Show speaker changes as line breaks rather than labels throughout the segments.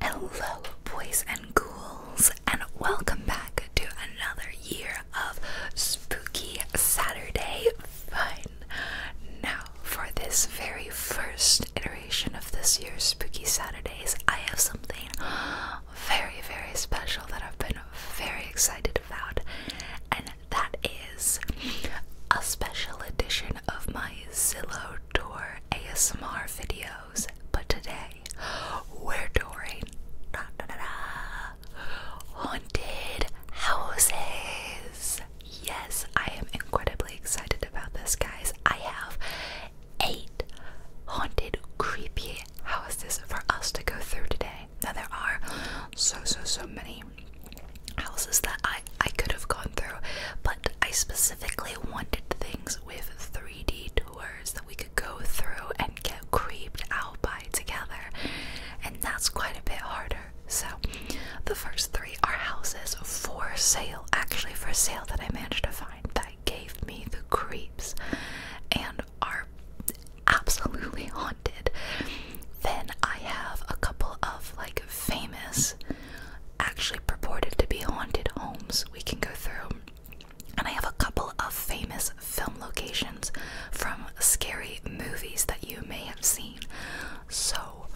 Hello, boys and ghouls, and welcome back to another year of Spooky Saturday Fun. Now, for this very first iteration of this year's Spooky Saturdays, I have something very, very special that I've been very excited about, and that is a special edition of my Zillow outdoor ASMR videos, but today we're doing haunted houses. Yes, I am incredibly excited about this, guys. I have eight haunted, creepy houses for us to go through today. Now, there are so, so, so many houses that I I could have gone through, but I specifically wanted things with 3D tours that we could go through and get creeped out by together, and that's quite a bit harder. So, the first three are houses for sale, actually for sale that I managed to find that gave me the creeps and are absolutely haunted. Then I have a couple of like famous actually purported to be haunted homes we can go through. And I have a couple of famous film locations from scary movies that you may have seen. So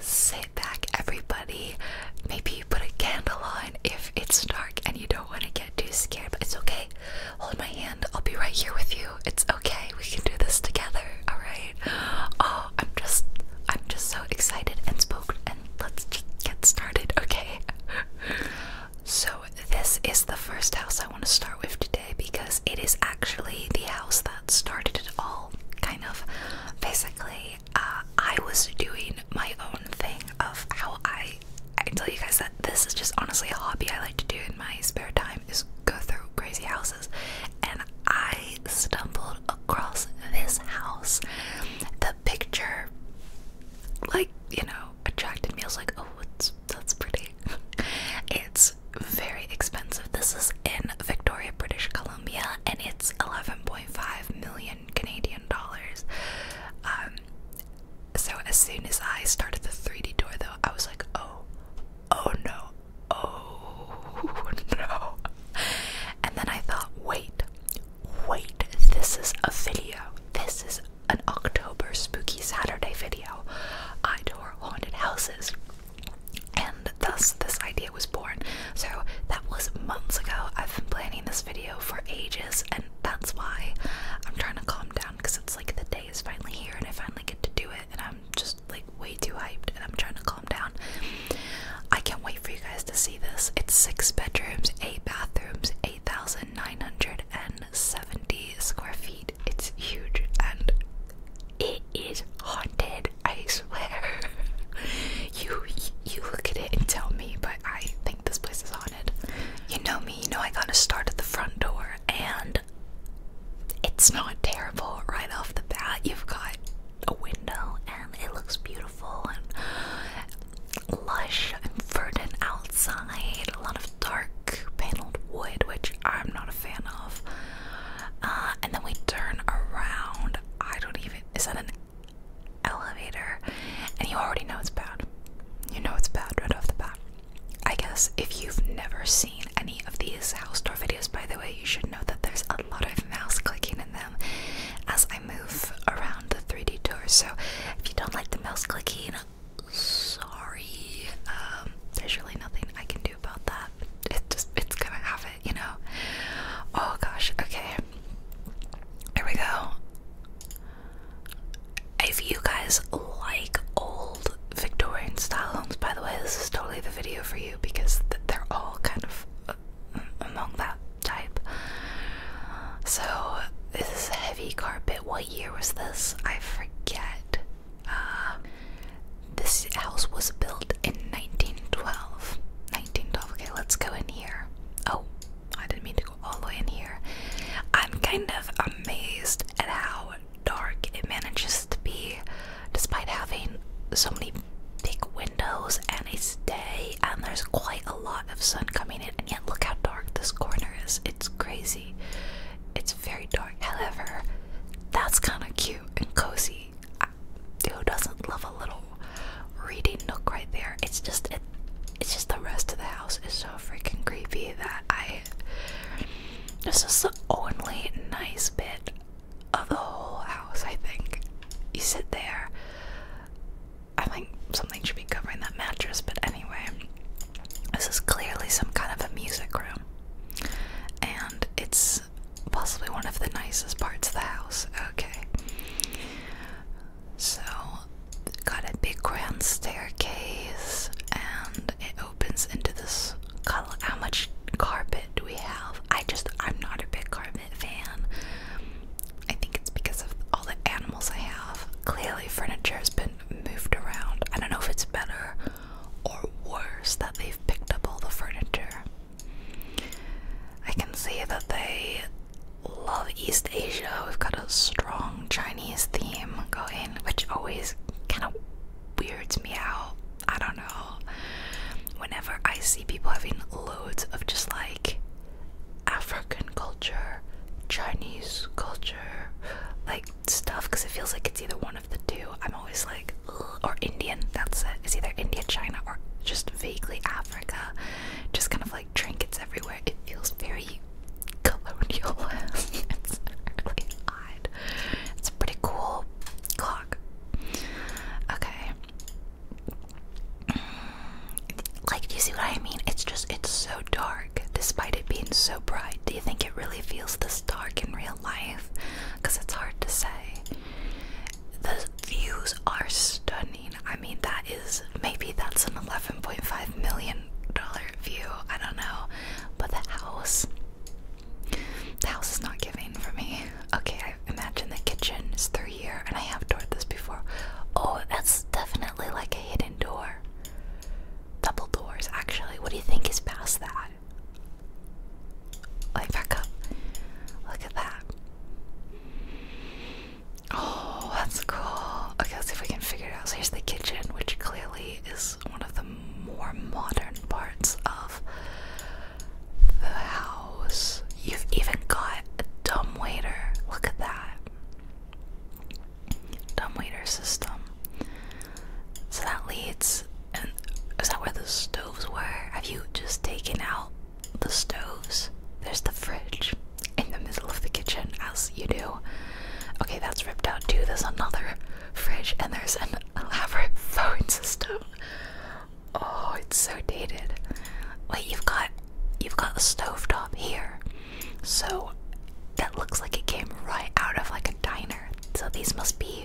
sit back, everybody. Maybe you put a candle on if it's dark and you don't want to get too scared, but it's okay. Hold my hand, I'll be right here with you. It's okay, we can do this together, alright? Oh, I'm just I'm just so excited and spooked and let's just get started, okay? so this is the first house I want to start with today because it is actually the house that started it all, kind of. Basically, uh, I was doing my own thing of how I I tell you guys that this is just honestly a hobby I like to do in my spare time is go through crazy houses and I stumbled across this house. The picture, like, you know, attracted me. I was like, oh, that's pretty. it's very expensive. This is in Victoria, British Columbia, and it's 11.5 million Canadian dollars. Um, so as soon as I started the 3D tour, though, I was like, oh, oh no, oh no. And then I thought, wait, wait, this is a video. This is an October Spooky Saturday video. I tour haunted houses. And thus, this idea was born. So, that was months ago. I've been planning this video for ages, and that's why I'm trying to calm down because it's like the day is finally here and I finally get to do it, and I'm just like way too hyped and I'm trying to calm down. I can't wait for you guys to see this. It's six bedrooms, eight bathrooms, 8,970 square feet. It's huge and it is haunted, I swear. you you look at it and tell me, but I think this place is haunted. You know me, you know I gotta start at the front door and it's not terrible right off the bat. You've got a window and it looks beautiful and lush and verdant outside. A lot of dark paneled wood, which I'm not a fan of. Uh, and then we turn around. I don't even. Is that an elevator? And you already know it's bad. You know it's bad right off the bat. I guess if you've never seen any of these house tour videos, by the way, you should know that there's a lot of mouse clicking in them as I move around the 3D tour. So if you don't like the mouse clicking, sorry. Um, there's really nothing I can do about that. It just it's gonna have it, you know. Oh gosh, okay. Here we go. If you guys like old Victorian style homes, by the way, this is totally the video for you because they're all kind of among that type. So this is a heavy carpet. What year was this? I forget. Uh, this house was built in 1912. 1912. Okay, let's go in here. Oh, I didn't mean to go all the way in here. I'm kind of amazed at how dark it manages to be despite having so many big windows and a stay, and there's quite a lot of sun coming in and yet look how dark this corner is it's crazy it's very dark however that's kind of cute and cozy I, who doesn't love a little reading nook right there it's just it, it's just the rest of the house is so freaking creepy that i this is the only nice bit of the whole house, I think. You sit there. I think something should be covering that mattress, but anyway, this is clearly some kind of a music room. And it's possibly one of the nicest parts of the house. Okay. So, got a big grand staircase, and it opens into this. How much carpet do we have? I just, I'm not a big Carvin fan. I think it's because of all the animals I have. Clearly, furniture has been moved around. I don't know if it's better or worse that they've picked up all the furniture. I can see that they love East Asia. We've got a strong Chinese theme going, which always kind of weirds me out. I don't know. Whenever I see people having loads of just like African culture, Chinese culture, like stuff, because it feels like it's either one of the two, I'm always like, or Indian, that's it. It's either India, China, or just vaguely Africa. Just kind of like trinkets everywhere. It feels very colonial. it's pretty cool clock. Okay like, do you see what I mean? It's just, it's so dark despite it being so bright. Do you think it really feels this dark in real life? Because it's hard to say. The views are stunning. I mean, that is maybe that's an 11.5 million dollar view. I don't know. But the house, the house is not giving for me. Okay, imagine the kitchen is through here, and I have toured this before. Oh, that's definitely like a hidden door. Double doors, actually. What do you think is past that? Like, back up. Look at that. Oh, that's cool. Okay, let's see if we can figure it out. So, here's the kitchen, which clearly is one of the more modern parts of the house. You've even got a dumb waiter. Look at that. dumb waiter system. So that leads and is that where the stoves were? Have you just taken out the stoves? There's the fridge in the middle of the kitchen as you do. Okay, that's ripped out too. There's another fridge and there's an elaborate phone system. Oh, it's so dated. Wait, you've got you've got a stove top here. So that looks like it came right out of like a diner. So these must be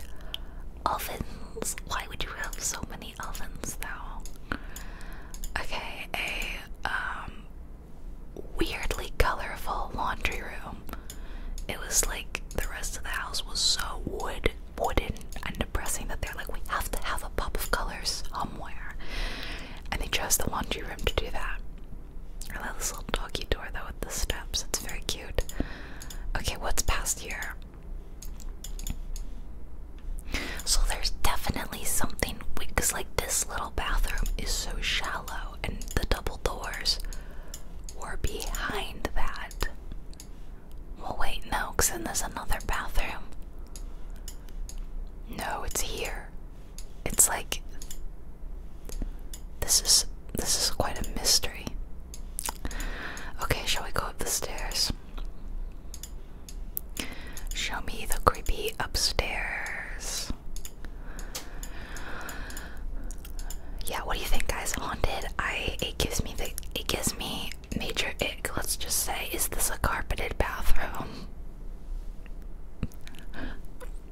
ovens. Why would you have so many ovens though? Okay, a um weirdly colorful laundry room. It was like the rest of the house was so wood wooden and depressing that they're like, we have to have a pop of color somewhere. And they chose the laundry room to do that. I love this little doggy door though with the steps. It's very cute. Okay, what's past here? So there's definitely something because like this little bathroom is so shallow and the double doors were behind that. Well, wait, no, because then there's another bathroom. No, it's here. It's like this is this is quite a mystery. Okay, shall we go up the stairs? Show me the creepy upstairs. Yeah, what do you think, guys? Haunted? I it gives me the it gives me major ick, let's just say, is this a carpeted bathroom?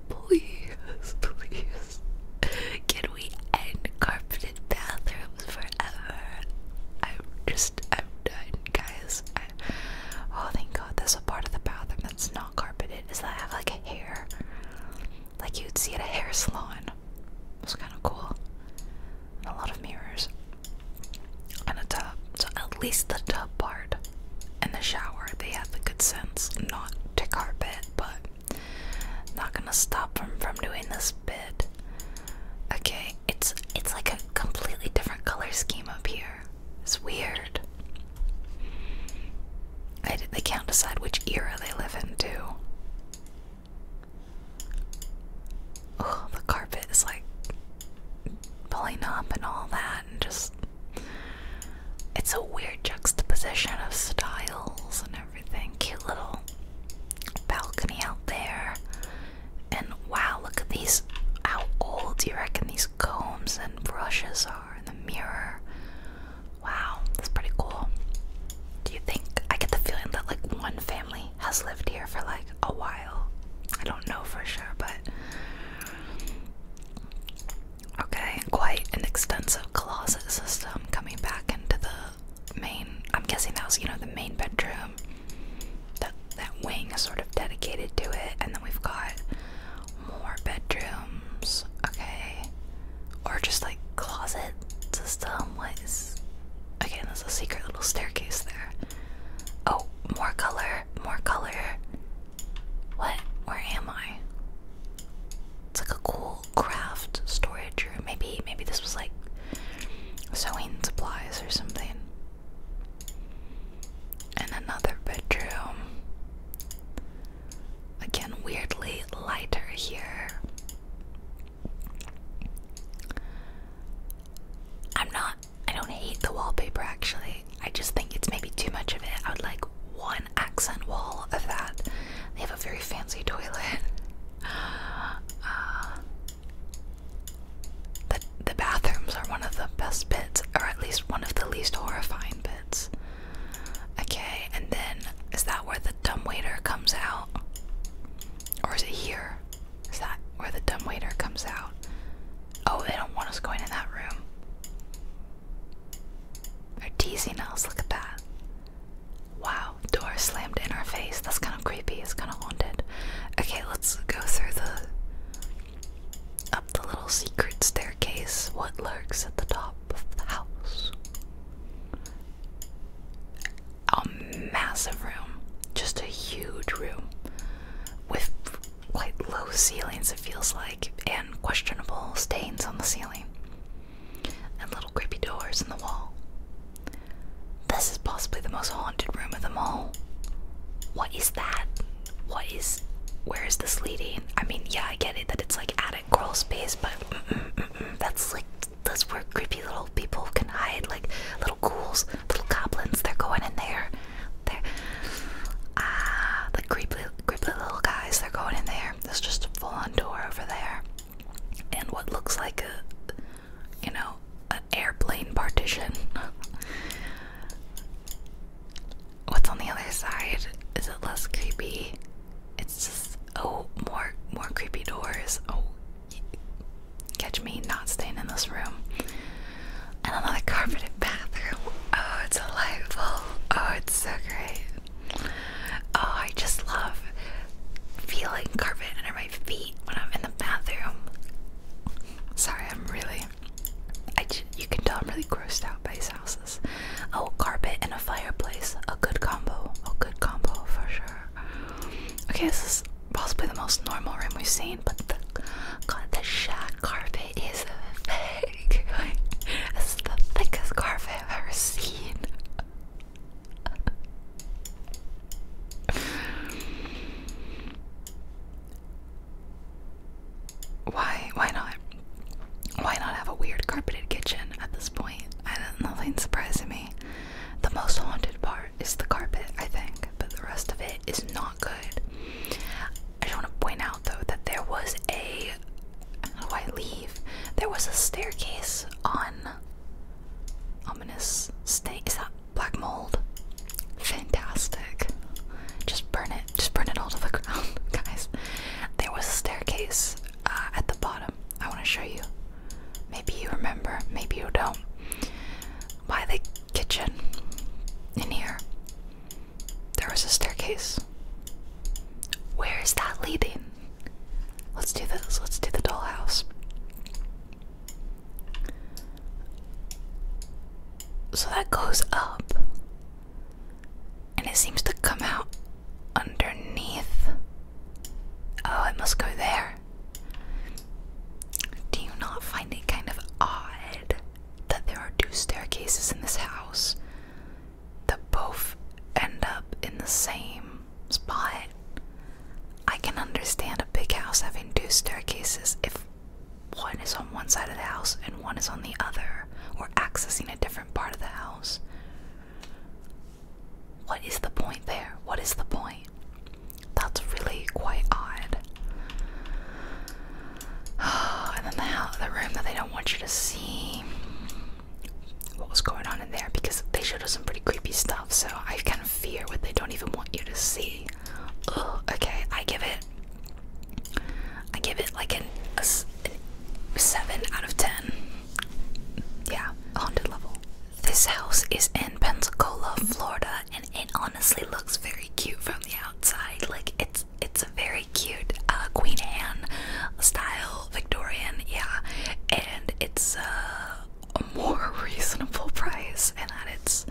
Please, please. Can we end carpeted bathrooms forever? I'm just, I'm done, guys. oh, thank God, there's a part of the bathroom that's not carpeted. Does that have like a hair? Like you'd see at a hair salon. It's kind of cool and a lot of mirrors and a tub. So at least the tub part In the shower, they have the good sense not to carpet, but not gonna stop them from doing this bit. Okay, it's it's like a completely different color scheme up here. It's weird. I, they can't decide which era they live in, too. Oh, the carpet is like pulling up and all that, and just it's a weird juxtaposition of styles and everything. Cute little balcony out there. And wow, look at these. How old do you reckon these combs and brushes are in the mirror? Wow, that's pretty cool. Do you think I get the feeling that like one family has lived here for like a while. I don't know for sure, but. Okay, quite an extensive closet system coming back into the main. I'm guessing that was, you know, the main bedroom. That that wing is sort of dedicated to it, and then we've got more bedrooms. Okay, or just like closet system. What is Again, there's a secret little staircase there. Oh, more color, more color. What? Where am I? It's like a cool craft storage room. Maybe, maybe this was like sewing supplies or something. And another bedroom. Again, weirdly lighter here. I'm not, I don't hate the wallpaper actually. I just think it's maybe too much of it. I would like one accent wall of that. They have a very fancy toilet. Uh, the, the bathrooms are one of the best bits, or at least one of the least horrifying bits. Okay, and then is that where the dumbwaiter comes out? Or is it here? Is that where the dumbwaiter comes out? Oh, they don't want us going in that room. They're teasing us, look at that. Wow, door slammed in our face. That's kind of creepy, it's kind of haunted. Okay, let's go through the. Up the little secret staircase, what lurks at the top of the house? a massive room, just a huge room with quite low ceilings, it feels like, and questionable stains on the ceiling, and little creepy doors in the wall. This is possibly the most haunted room of them all. What is that? What is. Where is this leading? I mean, yeah, I get it that it's like attic crawl space, but that's like that's where creepy little people can hide, like little ghouls, little goblins. They're going in there. They're ah, the creepy, creepy little guys. They're going in there. There's just a full-on door over there, and what looks like a, you know, airplane partition. What's on the other side? Is it less creepy? It's just oh, more, more creepy doors. Oh, Catch me not staying in this room. And another carpeted bathroom. Oh, it's delightful. Oh, it's so great. Oh, I just love feeling carpet under my feet when I'm in the bathroom. Sorry, I'm really. I you can tell I'm really grossed out by these houses. Oh, carpet and a fireplace. A good combo. A good combo for sure. Okay, this is possibly the most normal room we've seen, but the god, the shag carpet is thick. this the thickest carpet I've ever seen. Why? Why not? Why not have a weird carpeted kitchen at this point? nothing surprising me. The most haunted part is the carpet, I think, but the rest of it is not good. I just want to point out though that there was a how do There was a staircase on ominous stain. Is that black mold? Fantastic. Just burn it. Just burn it all to the ground, guys. There was a staircase uh, at the bottom. I want to show you. Maybe you remember, maybe you don't. By the kitchen, in here, there was a staircase. Where is that leading? Let's do this, let's do the dollhouse. So that goes up, and it seems to come out underneath. Oh, it must go there. Do you not find it kind of odd that there are two staircases in this house that both end up in the same spot? I can understand a big house having two staircases if one is on one side of the house and one is on the other, or accessing a different part of the house. What is the point there? What is the point? That's really quite odd. and then the, house, the room that they don't want you to see what was going on in there because they showed us some pretty creepy stuff, so I kind of fear what they don't even want you to see. okay, I give it. I give it like an, a, 7 out of 10. Yeah, haunted level. This house is in Pensacola, Florida, and it honestly looks very cute from the outside. Like it's it's a very cute uh, Queen Anne style Victorian, yeah. And it's uh, a more reasonable price, and that it's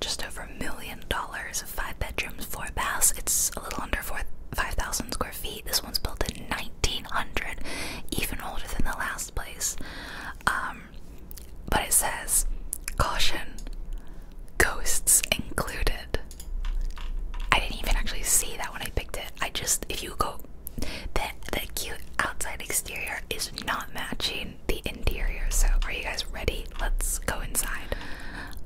just over a million dollars, five bedrooms, four baths. It's a little under four. 5,000 square feet. This one's built in '90. 1900, even older than the last place. Um, but it says, caution, ghosts included. I didn't even actually see that when I picked it. I just, if you go, the, the cute outside exterior is not matching the interior. So, are you guys ready? Let's go inside.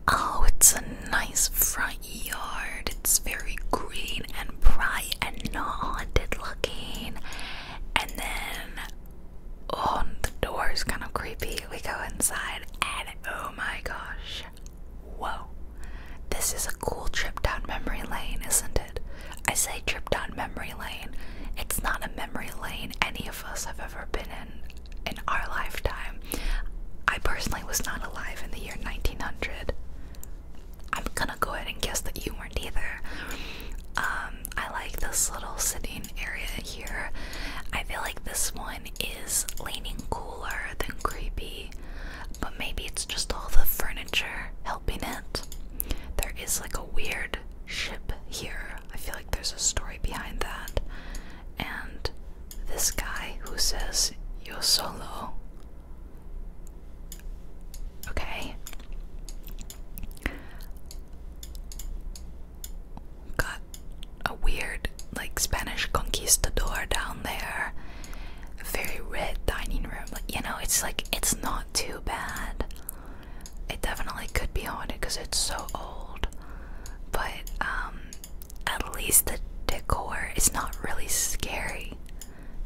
Oh, it's a nice front yard. It's very green and bright and not haunted looking. And then oh the door is kind of creepy. We go inside and oh my gosh. Whoa. This is a cool trip down memory lane, isn't it? I say trip down memory lane. It's not a memory lane any of us have ever been in in our lifetime. I personally was not alive in the year 1900. I'm gonna go ahead and guess that you weren't either. Um, I like this little sitting area here. I feel like this one is leaning cooler than creepy, but maybe it's just all the furniture helping it. There is like a weird ship here. I feel like there's a story behind that. And this guy who says, you Yo solo. Okay. Got a weird, like, Spanish conquistador down there. very red dining room. Like, you know, it's like, it's not too bad. It definitely could be haunted because it's so old. But, um, at least the decor is not really scary.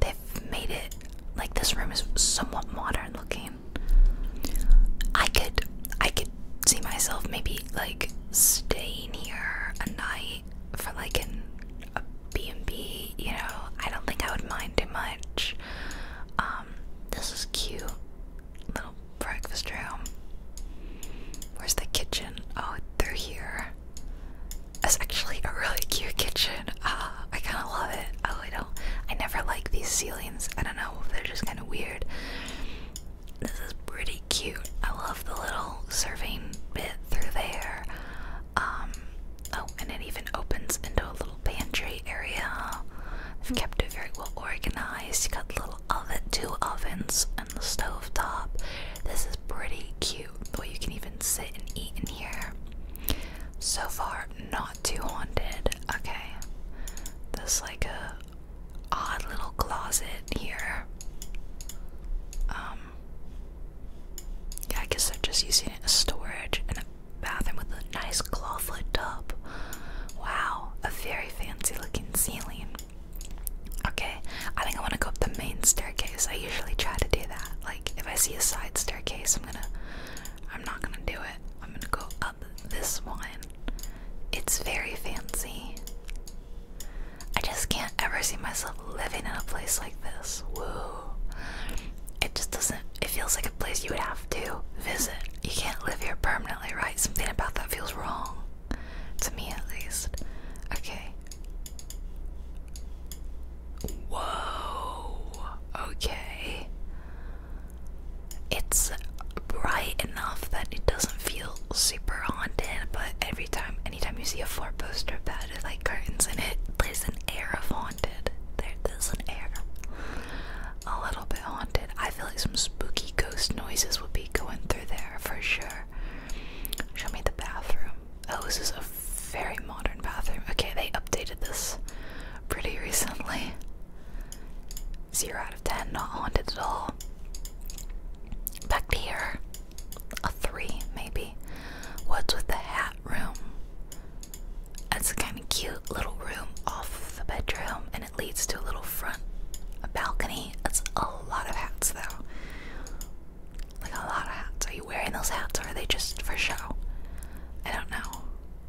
They've made it like this room is somewhat modern looking. I could I could see myself maybe like staying here a night for like an a B&B, you know. I don't think I would mind too much. Um this is cute little breakfast room. Where's the kitchen? Oh, they're here. That's actually a really cute kitchen. Uh, I kind of love it. Oh, I do I never like these ceilings. I don't know. They're just kind of weird. This is pretty cute. I love the little serving bit through there. Um. Oh, and it even opens into a little pantry area. They've hmm. kept it very well organized. You got little oven, two ovens, and the stove top. This is pretty cute. The way you can even sit and eat in here. So far, not too haunted. Okay. There's like a odd little closet here. Um Yeah, I guess they're just using it as storage and a bathroom with a nice clawfoot tub. Wow, a very fancy looking ceiling. Okay, I think I want to go up the main staircase. I usually try to do that. Like, if I see a side staircase, I'm gonna I'm not gonna do it. I'm gonna go up this one. It's very fancy. I just can't ever see myself living in a place like this. Whoa. It just doesn't, it feels like a place you would have to visit. You can't live here permanently, right? Something about that feels wrong. To me, at least. Okay. Whoa. Okay. It's bright enough that it doesn't feel super haunted, but every time, anytime you see a four poster bed with like curtains in it, there's an air of haunted. There, there's an air, a little bit haunted. I feel like some spooky ghost noises would be going through there for sure. Show me the bathroom. Oh, this is a very modern bathroom. Okay, they updated this pretty recently. Zero out of ten, not haunted at all. Back to here. A three, maybe. What's with the hat room? That's a kind of cute little room off the bedroom, and it leads to a little front a balcony. That's a lot of hats, though. Like a lot of hats. Are you wearing those hats, or are they just for show? I don't know.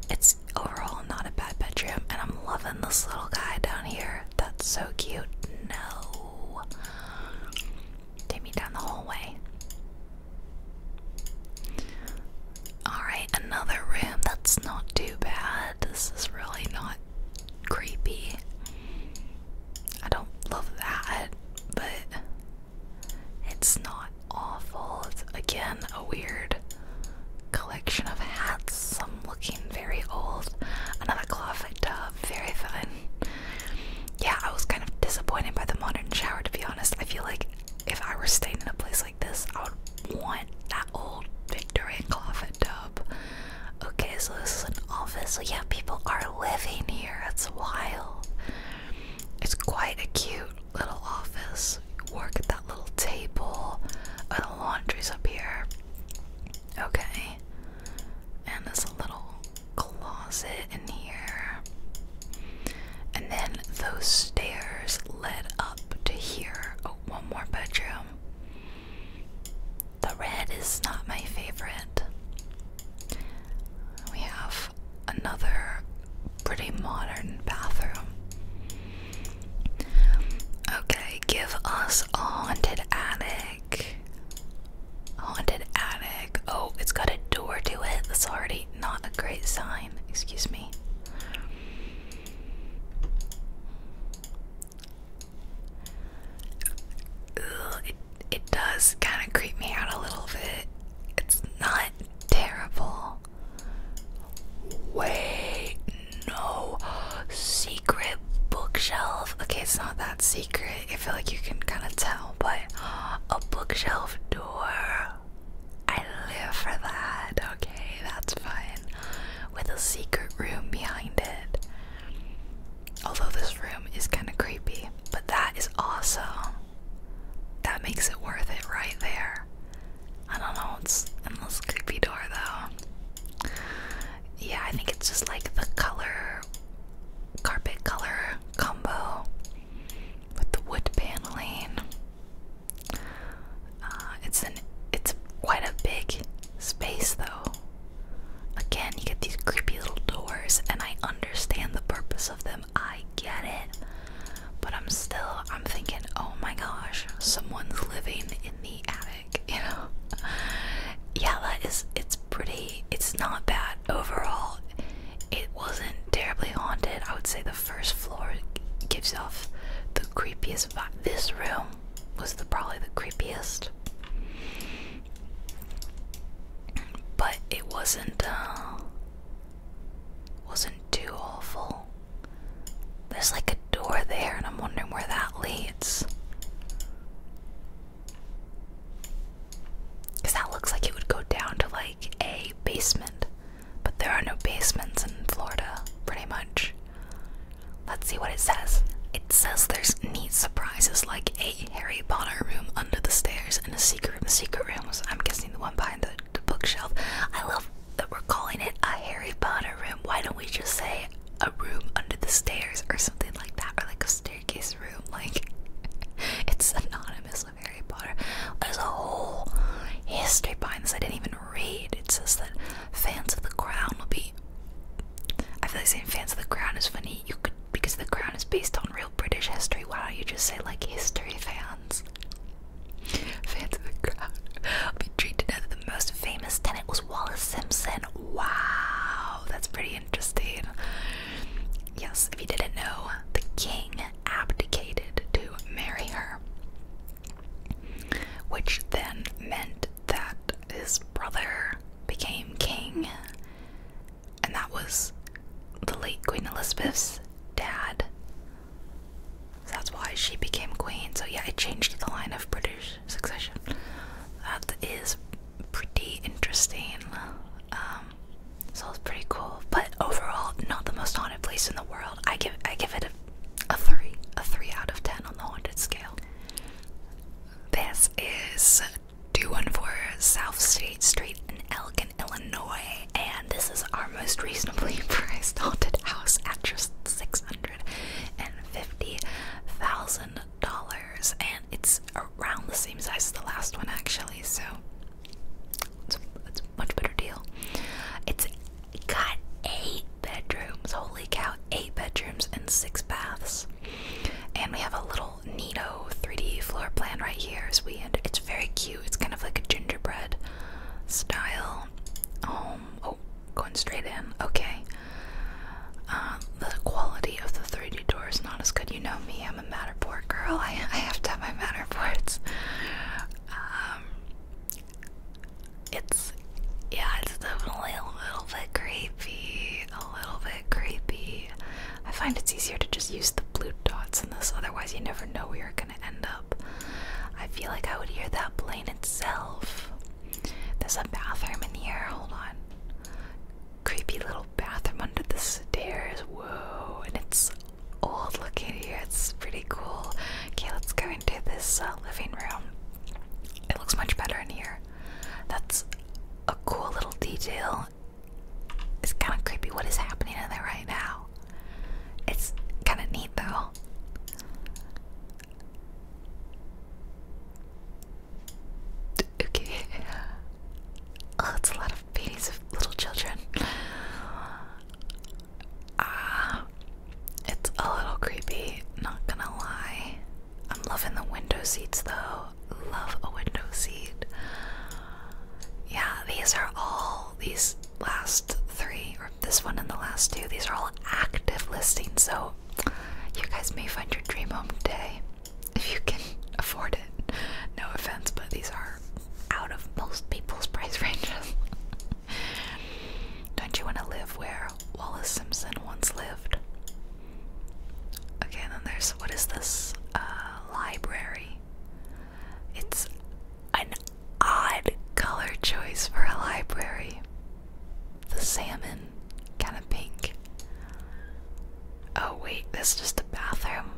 It's overall not a bad bedroom, and I'm loving this little guy down here. That's so cute. No. Take me down the hallway. Alright, another room. That's not too bad. This is really not creepy. I don't love that, but it's not awful. It's again a weird collection of hats, some looking very old. Another clawfoot tub, very fun. Yeah, I was kind of disappointed by the modern shower to be honest. I feel like if I were staying in a place like this, I would want that old Victorian clawfoot tub. Okay, so this is an office. So yeah, people are living here. That's wild. It's quite a cute little office, work at that little table. Uh, the laundry's up here. Okay. And there's a little closet in here. And then those stairs led up to here. Oh, one more bedroom. The red is not my favorite. We have another pretty modern bathroom. Okay, give us a haunted attic. Haunted attic. Oh, it's got a door to it. That's already not a great sign. Excuse me. it, it does kind of creep me out a little bit. It's not terrible. Wait, no. Secret bookshelf. Okay, it's not that secret. I feel like you can kind of tell, but a bookshelf door. I live for that. Okay, that's fine. With a secret room behind it. Although this room is kind of creepy, but that is awesome. That makes it worth it right there. I don't know what's in this creepy door though. Yeah, I think it's just like the color, carpet color combo with the wood paneling. Uh, it's an it's quite a big space though. Again, you get these creepy little doors, and I understand the purpose of them. I get it. But I'm still, I'm thinking, oh my gosh, someone's living in the attic, you know? yeah, that is, it's pretty, it's not bad overall. It wasn't terribly haunted. I would say the first floor gives off the creepiest vibe. This room was the, probably the creepiest. But it wasn't, uh, wasn't too awful. There's like a door there, and I'm wondering where that leads. Because that looks like it would go down to like a basement, but there are no basements in Florida, pretty much. Let's see what it says. It says there's neat surprises like a Harry Potter room under the stairs and a secret room. The secret room was, I'm guessing, the one behind the the, bookshelf. I love that we're calling it a Harry Potter room. Why don't we just say a room under the stairs or something like that, or like a staircase room? Like it's synonymous with Harry Potter. There's a whole history behind this. I didn't even read. It says that fans of the Crown will be. I feel like saying fans of the Crown is funny. You could because the Crown is based on real British history. Why don't you just say like history fans? hands. Fair the crowd. Be treated as the most famous tenant was Wallace Simpson. Wow, that's pretty interesting. Yes, if you didn't know, the king abdicated to marry her. Which then meant that his brother became king, and that was the late Queen Elizabeth's dad. that's why she became queen. So yeah, it changed the line of British succession. That is pretty interesting. Um, so it's pretty cool. But overall, not the most haunted place in the world. I give I give it a, three, a three out of ten on the haunted scale. This is 214 South State Street in Elgin, Illinois and this is our most reasonably priced haunted house at just six hundred and fifty thousand dollars, and it's around the same size as the last one actually, so it's a, much better deal. It's got eight bedrooms, holy cow, eight bedrooms and six baths. And we have a little neato 3D floor plan right here, as we and it's very cute. It's kind of like a gingerbread style um, Oh, going straight in. Okay. Uh, the quality of the 3D door is not as good. You know me, I'm a Matterport girl. I, have to have my Matterports. Um, it's, yeah, it's definitely a little bit creepy. A little bit creepy. I find it's easier to just use the blue dots in this, otherwise, you never know where you're gonna end up. I feel like I would hear that plane itself. There's a bathroom in here, hold on. Creepy little bathroom under the stairs, whoa, and it's old looking here, it's pretty cool. Okay, let's go into this uh, living room. It looks much better in here. That's a cool little detail it's kind of creepy what is happening in there right now. It's kind of neat though. Okay. Oh, it's a lot of babies of little children. Ah, it's a little creepy, not gonna lie. I'm loving the window seats though. Love a window seat. Yeah, these are all these last three, or this one and the last two, these are all active listings, so you guys may find your dream home today if you can afford it. No offense, but these are out of most people's price ranges. Don't you want to live where Wallace Simpson once lived? Okay, and then there's what is this? Uh, library. It's an odd color choice for a library. The salmon, kind of pink. Oh, wait, this is just a bathroom.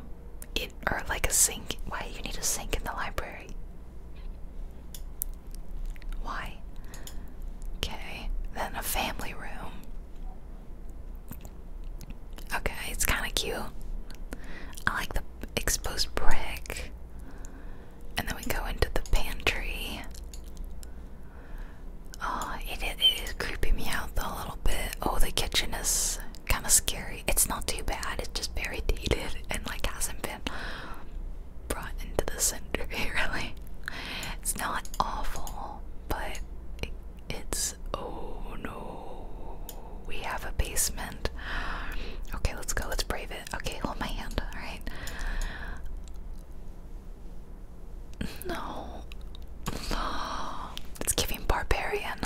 It, or like a sink. Why you need a sink in the library? Why? Okay, then a family room. Okay, it's kind of cute. I like the exposed brick. And then we go into the pantry. Oh, it is creeping me out a little bit. Oh, the kitchen is kind of scary. It's not too bad, it's just very dated and like hasn't been brought into the center. really. It's not awful, but it's. Oh no we have a basement. Okay, let's go. Let's brave it. Okay, hold my hand. All right. No. Oh, it's giving Barbarian.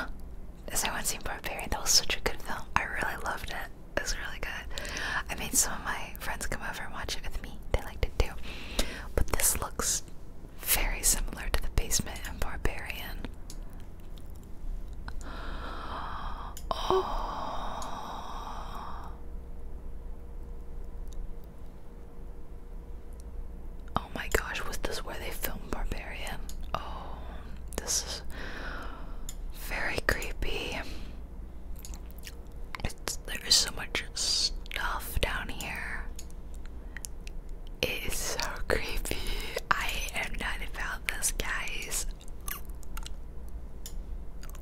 Has anyone seen Barbarian? That was such a good film. I really loved it. It was really good. I made some of my friends come over and watch it with me. They liked it too. But this looks very similar to the basement in Barbarian. Oh. oh. my gosh, was this where they filmed Barbarian? Oh, this is very creepy. It's, there is so much stuff down here. It is so creepy. I am not about this guy's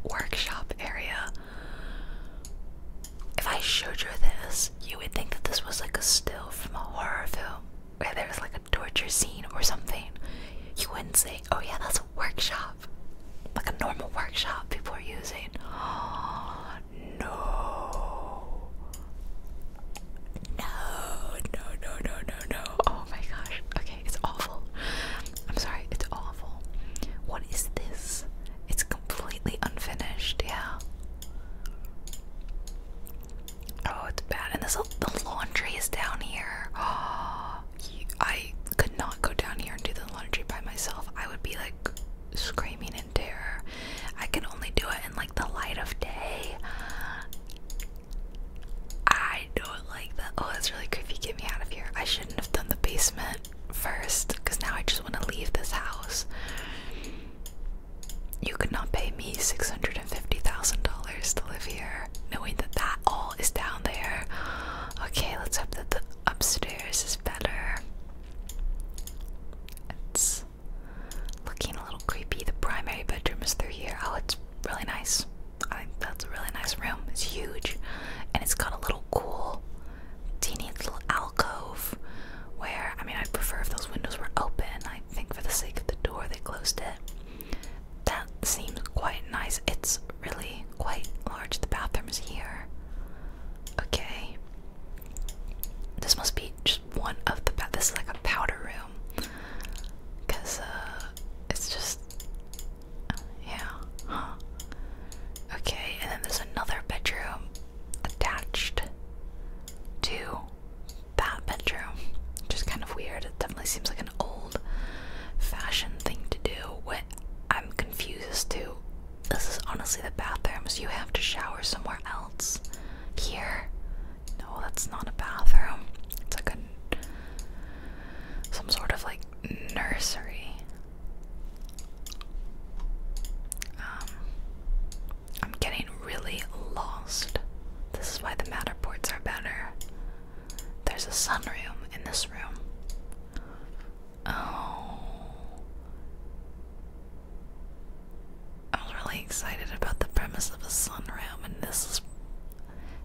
workshop area. If I showed you this, you would think that this was like a still from a horror film where there was like a torture scene or something. You wouldn't say, oh yeah, that's a workshop. Like a normal workshop people are using. Oh, no. No, no, no, no, no, no. Oh my gosh. Okay, it's awful. I'm sorry, it's awful. What is this? It's completely unfinished, yeah. Oh, it's bad. And this the laundry is down here. I could not go down here and do the laundry by myself. I would be like screaming in terror. I can only do it in like the light of day. I don't like that. Oh, that's really creepy. Get me out of here. I shouldn't have done the basement first because now I just want to leave this house. You could not pay me $650,000 to live here, knowing that that all is down there. Okay, let's hope that the upstairs is better. It's looking a little creepy. The primary bedroom is through here. Oh, it's really nice. that's a really nice room. It's huge, and it's got a little cool, teeny little alcove. Where I mean, I'd prefer if those windows were open. I think for the sake of the door, they closed it. That seems quite nice. It's really quite large. The bathroom is here. Okay. This must be just one of the. This is like a powder room because uh, it's just yeah huh okay and then there's another bedroom attached to that bedroom which kind of weird it definitely seems like an old fashioned thing to do what I'm confused as to this is honestly the bathrooms you have to shower somewhere else here no, that's not a bathroom. It's like a some sort of like nursery. Um, I'm getting really lost. This is why the Matterports are better. There's a sunroom in this room. Oh. I am really excited about the premise of a room, and this is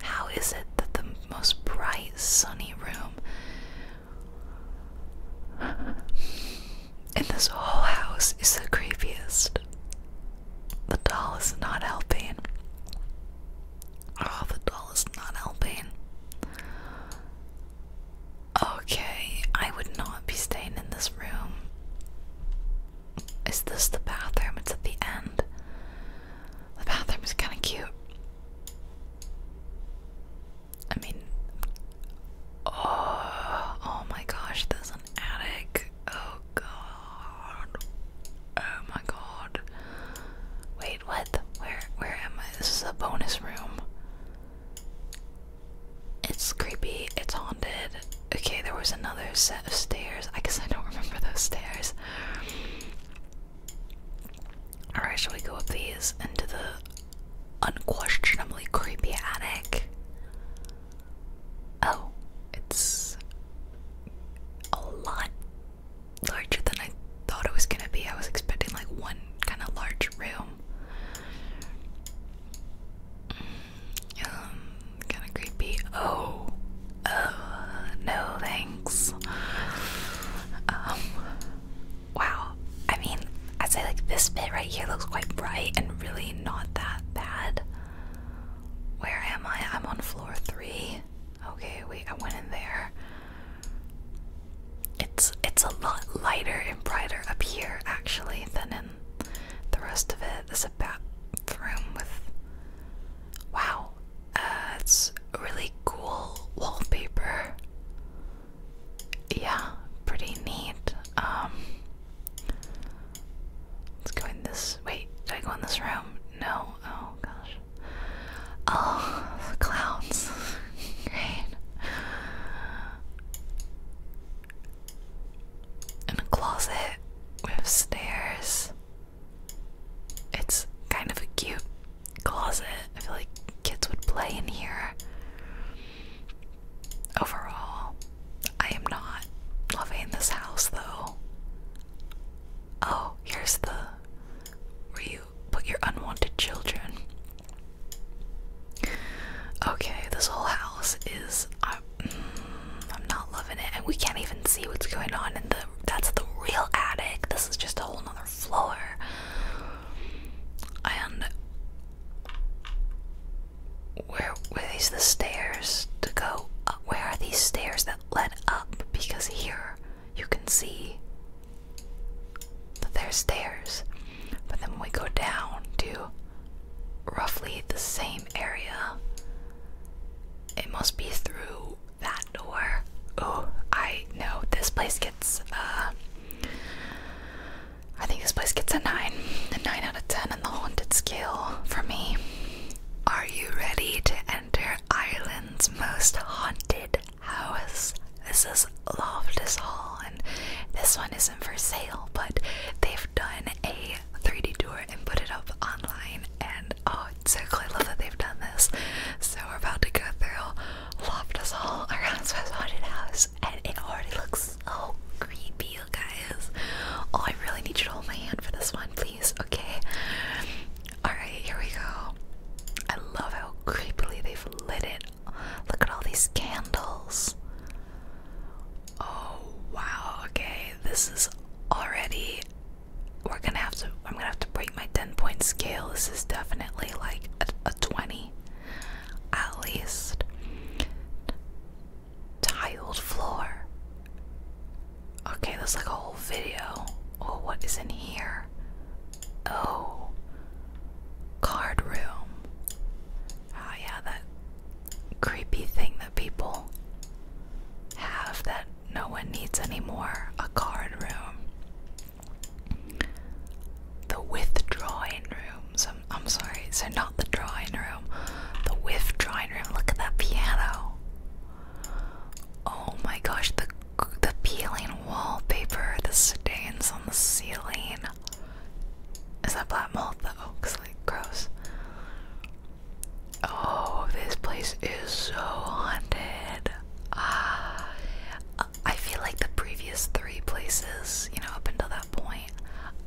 how is it that the most bright, sunny room in this whole house is the creepiest? The doll is not helping. Oh, the doll is not helping. Okay, I would not be staying in this room. Is this the bathroom? It's at the end. The bathroom is kind of cute. I mean, oh, oh, my gosh, there's an attic. Oh god. Oh my god. Wait, what? Where where am I? This is a bonus room. It's creepy, it's haunted okay, there was another set of stairs. I guess I don't remember those stairs. Alright, shall we go up these into the unquestionably creepy attic? Oh, it's a lot larger than I thought it was gonna be. I was expecting like one kind of large room. Um, kind of creepy. Oh, oh, no thanks. Um, wow. I mean, i say like this bit right here looks quite bright and really not that bad. Where am I? I'm on floor three. Okay, wait, I went in there. It's it's a lot lighter and brighter up here actually than in the rest of it bathroom with wow, uh, it's really cool wallpaper. Yeah, pretty neat. Um, let's go in this. Wait, did I go in this room? No. Oh gosh. Oh, clouds. Great in a closet with stairs. It's kind of a cute closet. I feel like kids would play in here. Overall, I am not loving this house though. Oh, here's the where you put your unwanted children. Okay, this whole house is I, am not loving it, and we can't even see what's going on in the. That's the real attic. This is just a whole other floor. And where were these the stairs to go? Up? Where are these stairs that led up? Because here you can see that there's stairs, but then we go down to roughly the same area. It must be through that door. Oh, I know. This place gets, uh, I think this place gets a 9. A 9 out of 10 on the haunted scale for me. Are you ready to enter Ireland's most haunted house? This is Loftus Hall, and this one isn't for sale, but they've done a 3D tour and put it up online. And oh, so cool! love that they've done this. So we're about to go through Loftus Hall, Erasmus Haunted House, and it already looks so creepy, you guys. Oh, I really need you to hold my hand for this one, please. Okay. All right, here we go. I love how creepily they've lit it. Look at all these candles. Oh wow, okay, this is already we're gonna have to I'm gonna have to break my 10 point scale. This is definitely like a, 20 at least. Tiled floor. Okay, that's like a whole video. Oh, what is in here? Oh, card room. Oh, yeah, that creepy thing that people have that no one needs anymore a card room. The withdrawing room. So, I'm sorry, so not the drawing room, the drawing room. Look at that piano. Oh my gosh, the the peeling wallpaper, the stains on the ceiling. Is that black mold That looks like gross. Oh, this place is so haunted. Ah, I feel like the previous three places, you know, up until that point,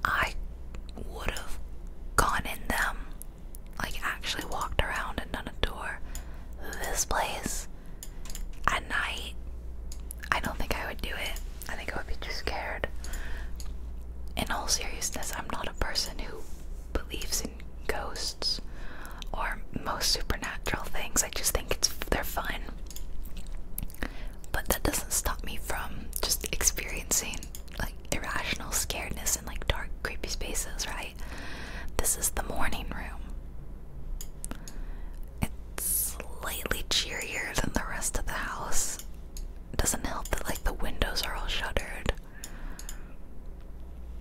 I would have gone in them, like actually walked around and done a tour. This place at night, I don't think I would do it. I think I would be too scared in all seriousness, I'm not a person who believes in ghosts or most supernatural things. I just think it's they're fun. But that doesn't stop me from just experiencing like irrational scaredness in like dark, creepy spaces, right? This is the morning room. It's slightly cheerier than the rest of the house. It doesn't help that like the windows are all shuttered.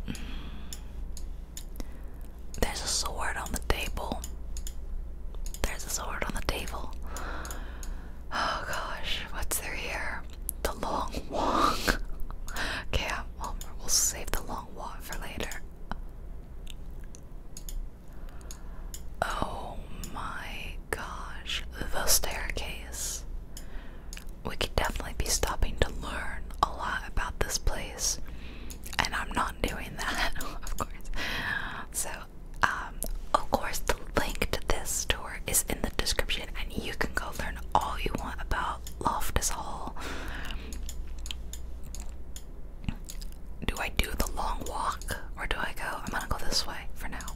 Mm. There's a sword on the table. There's a sword on the table. Oh gosh, what's there here? The long walk. okay, um, well, we'll save the long walk for later. Oh my gosh, the staircase we could definitely be stopping to learn a lot about this place, and I'm not doing that, of course. So, um, of course, the link to this tour is in the description, and you can go learn all you want about Loftus Hall. Do I do the long walk or do I go? I'm gonna go this way for now.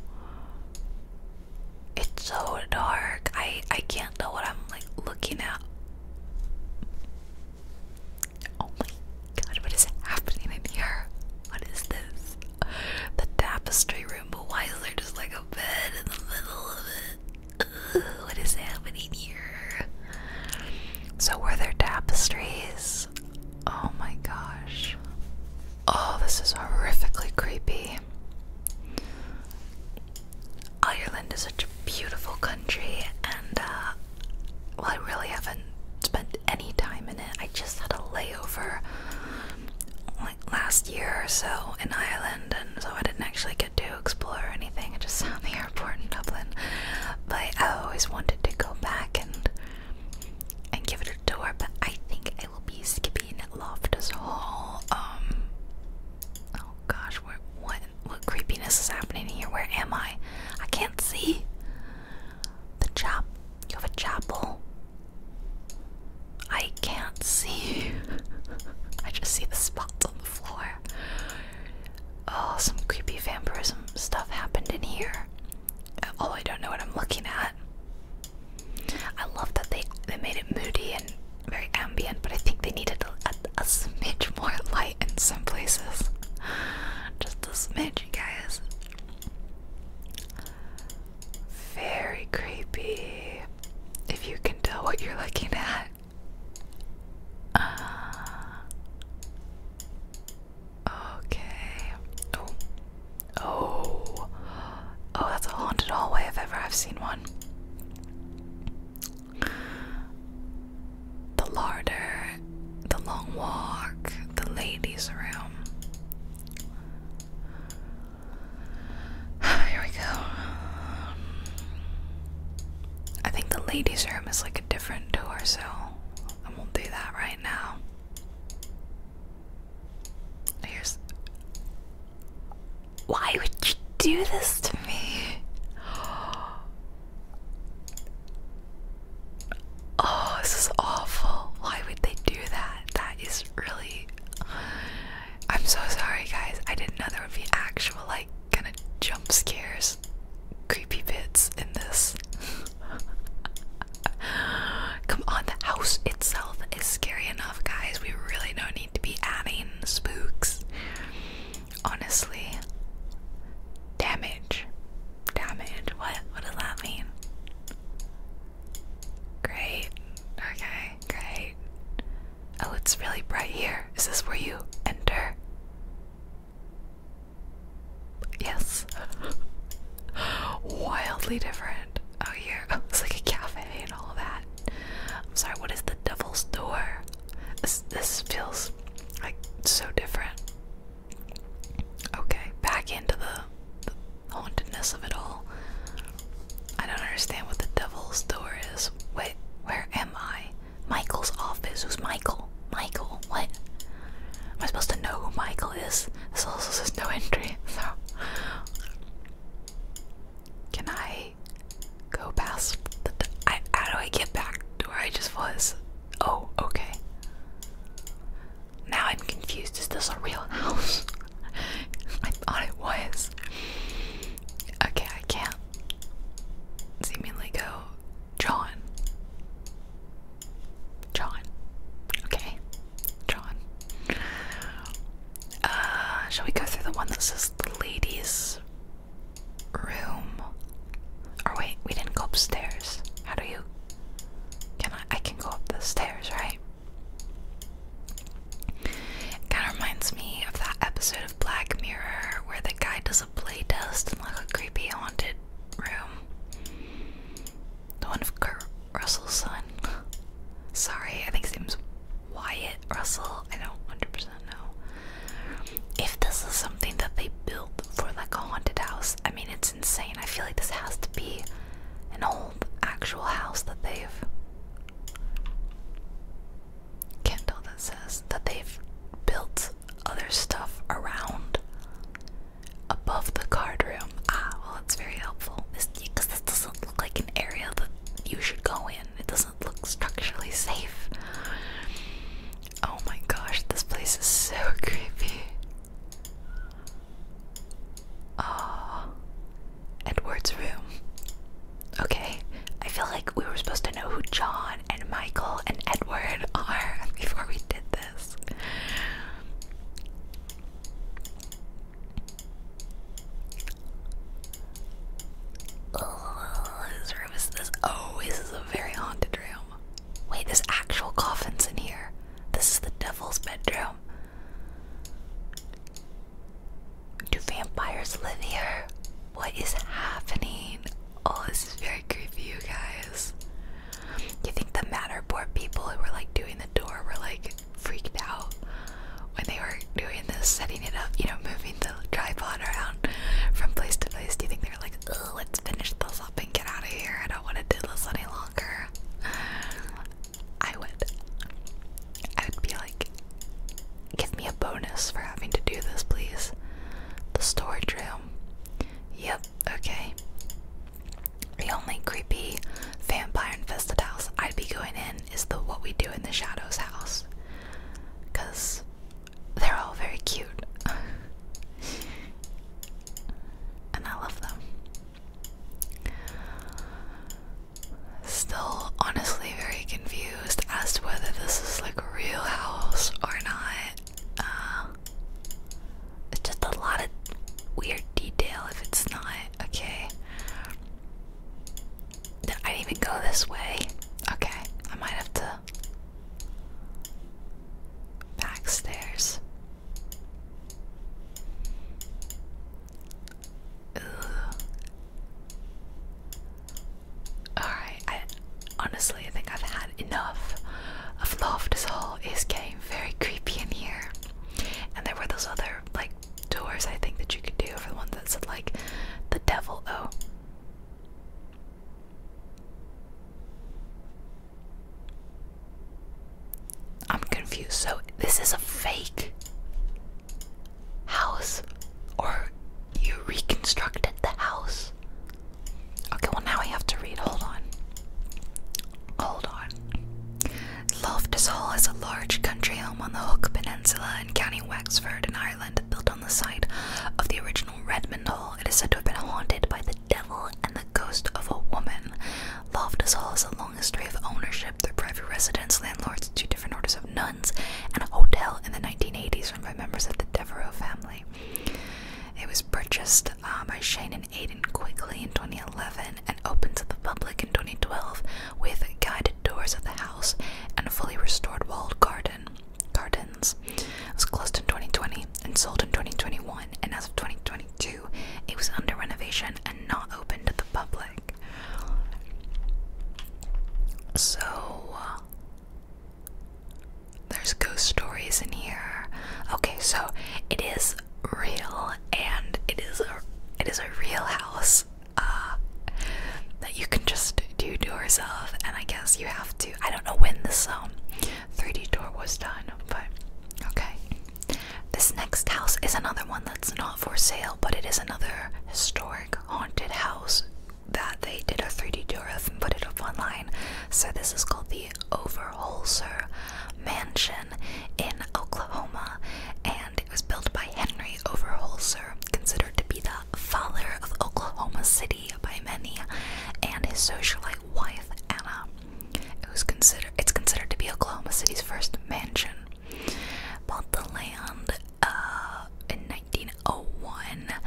It's so dark. I I can't tell what I'm like looking at. Oh my god, what is happening in here? What is this? The tapestry room, but why is there just like a bed in the middle of it? Ugh, what is happening here? So were there tapestries? Oh my gosh. Oh, this is horrifically creepy. Ireland is such a beautiful country, and uh, well, I really haven't spent any time in it. I just had a layover like last year or so in Ireland, and so I didn't actually get to explore anything. I just sat in the airport in Dublin, but I always wanted to go back and and give it a tour. But I think I will be skipping Loftus Hall. Um, oh gosh, where, what what creepiness is happening here? Where am I? I can't see. The chap, you have a chapel. I can't see. I just see the spots on the floor. Oh, some creepy vampirism stuff happened in here. Oh, I don't know what I'm looking at. I love that they they made it moody and very ambient, but I think they needed a, a, a smidge more light in some places. Just a smidge, guys. Very creepy. If you can tell what you're looking at. Uh, okay. Oh. Oh. Oh, that's a haunted hallway if ever I've seen one. The larder, the long walk, the ladies' room. Here we go. I think the ladies' room is like a different door, so I won't do that right now. Here's. Why would you do this to me? Oh, this is awful. Why would they do that? That is really. I'm so sorry, guys. I didn't know there would be actual, like, kind of jump scares, creepy bits in this. Come on, the house itself is scary enough, guys. We really don't need to be adding spooks. Honestly. Damage. Damage. What? What does that mean? Great. Okay, great. Oh, it's really bright here. Is this where you enter? Yes. wildly different Oh, here. it's like a cafe and all of that. I'm sorry, what is the devil's door? This, feels like so different. Okay, back into the hauntedness of it all. I don't understand what the devil's door is. Wait, where am I? Michael's office. Who's Michael? Michael, what? Am I supposed to know who Michael is? This also says no entry, so. Can I go past the. I, how do I get back to where I just was? Oh, okay. Now I'm confused. Is this a real house? I thought it was. Okay, I can't seemingly go. John. John. Okay. John. Uh, shall we go through the one that says the ladies' room? Or wait, we didn't go upstairs. How do you? Can I? I can go up the stairs, right? kind of reminds me of that episode of Black Mirror where the guy does a play test in like a creepy haunted room. The one of Kurt Russell's son. Sorry, I think his name's Wyatt Russell. I don't 100% know. If this is something that they built for like a haunted house, I mean, it's insane. I feel like this has to be an old actual house that they've. Can't tell that says that they've built other stuff around above the card room. Um, ah, well, it's very helpful. This because this doesn't look like an area that you should go in. It doesn't look structurally safe. Oh my gosh, this place is so creepy. Oh, Edward's room. Okay, I feel like we were supposed to know who John and Michael and Edward are before we did this. Oh, whose this? Oh, this is a very haunted room. Wait, there's actual coffins in here. This is the devil's bedroom. Do vampires live here? What is happening? Oh, this is very creepy, you guys. You think the Matterport people who were like doing the door were like, freaked out when they were doing this, setting it up, you know, moving the tripod around from place to place. Do you think they were like, let's finish this up and get out of here? I don't want to do this any longer. I would. I would be like, give me a bonus for having to do this, please. The storage room. Yep, okay. The only creepy vampire infested house I'd be going in is the What We Do in the Shadows house. Because they're all very cute. and I love them. Still, honestly, very confused as to whether this is like a real house or not. Uh, it's just a lot of weird detail if it's not, okay? I didn't even go this way. Okay, I might have to. Back All right. honestly, I think I've had enough of Loftus Hall. Is getting very creepy in here, and there were those other like doors I think that you could do for the ones that said like the devil oh I'm confused so this is a fake house or you reconstructed the house okay well now I have to read hold on hold on Loftus Hall is a large country home on the Hook Peninsula in County Wexford in Ireland, built on the site of the original Redmond Hall. It is said to have been haunted by the devil and the ghost of a woman. Loftus Hall has a long history of ownership through private residence, landlords, two different orders of nuns, and a hotel in the 1980s run by members of the Devereux family. It was purchased uh, by Shane and Aidan Quigley in 2011 and opened to the public in 2012 with guided tours of the house and fully restored walled garden gardens. It was closed in 2020 and sold in 2021, and as of 2022, it was under renovation and not open to the public. So uh, there's ghost stories in here. Okay, so it is real and it is a it is a real house uh, that you can just do doors of and I guess you have to I don't know when this um 3D tour was done but okay this next house is another one that's not for sale but it is another historic haunted house that they did a 3D tour of and put it up online so this is called the Overholser Mansion in Oklahoma, and it was built by Henry Overholser, considered to be the father of Oklahoma City by many, and his socialite wife Anna. It was considered it's considered to be Oklahoma City's first mansion. Bought the land uh, in 1901,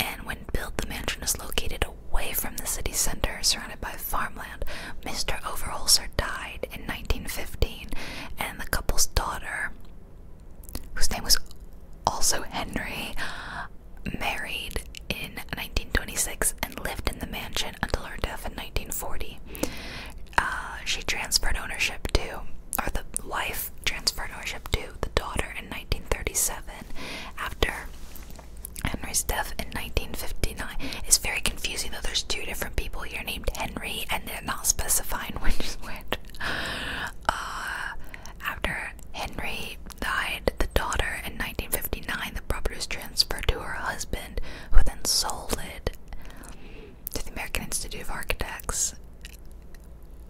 and when built, the mansion is located away from the city center, surrounded by farmland Mr. Overholser died in 1915, and the couple's daughter, whose name was also Henry, married in 1926 and lived in the mansion until her death in 1940. Uh, she transferred ownership to, or the wife transferred ownership to, the daughter in 1937 after Henry's death in 1959. It's very confusing though, there's two different people here, named Henry, and they're not specifying which is which. Uh, after Henry died, the daughter in 1959, the property was transferred to her husband, who then sold it to the American Institute of Architects.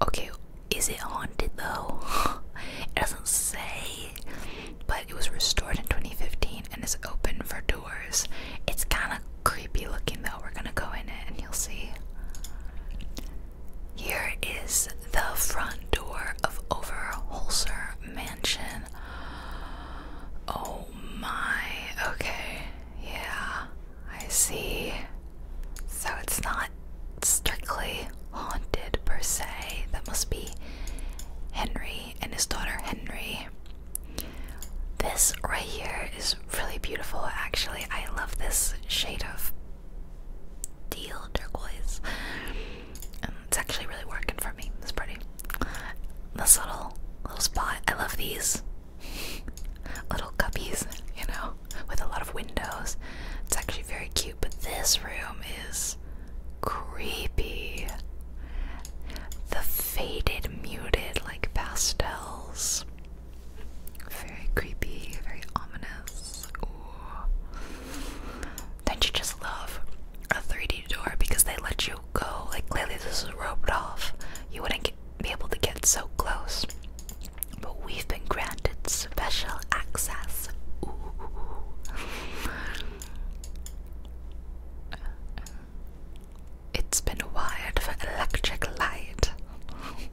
Okay, is it haunted though? it doesn't say, but it was restored in 2015 and is open for tours. It's kind of creepy looking though. We're gonna go in it and you'll see. Here is the front door of Overholser Mansion. Oh my, okay, yeah, I see. So it's not strictly haunted per se. That must be Henry and his daughter Henry. This right here is really beautiful, actually. I love this shade of teal turquoise. Um, it's actually really working for me. It's pretty. This little little spot. I love these little cubbies, you know, with a lot of windows. It's actually very cute. But this room is creepy the faded, muted, like pastels. Very creepy, very ominous. Ooh. Then you just love a 3D door because they let you go. Like clearly this is roped off. You wouldn't be able to get so close. But we've been granted special access. Ooh. It's been wired for electric light.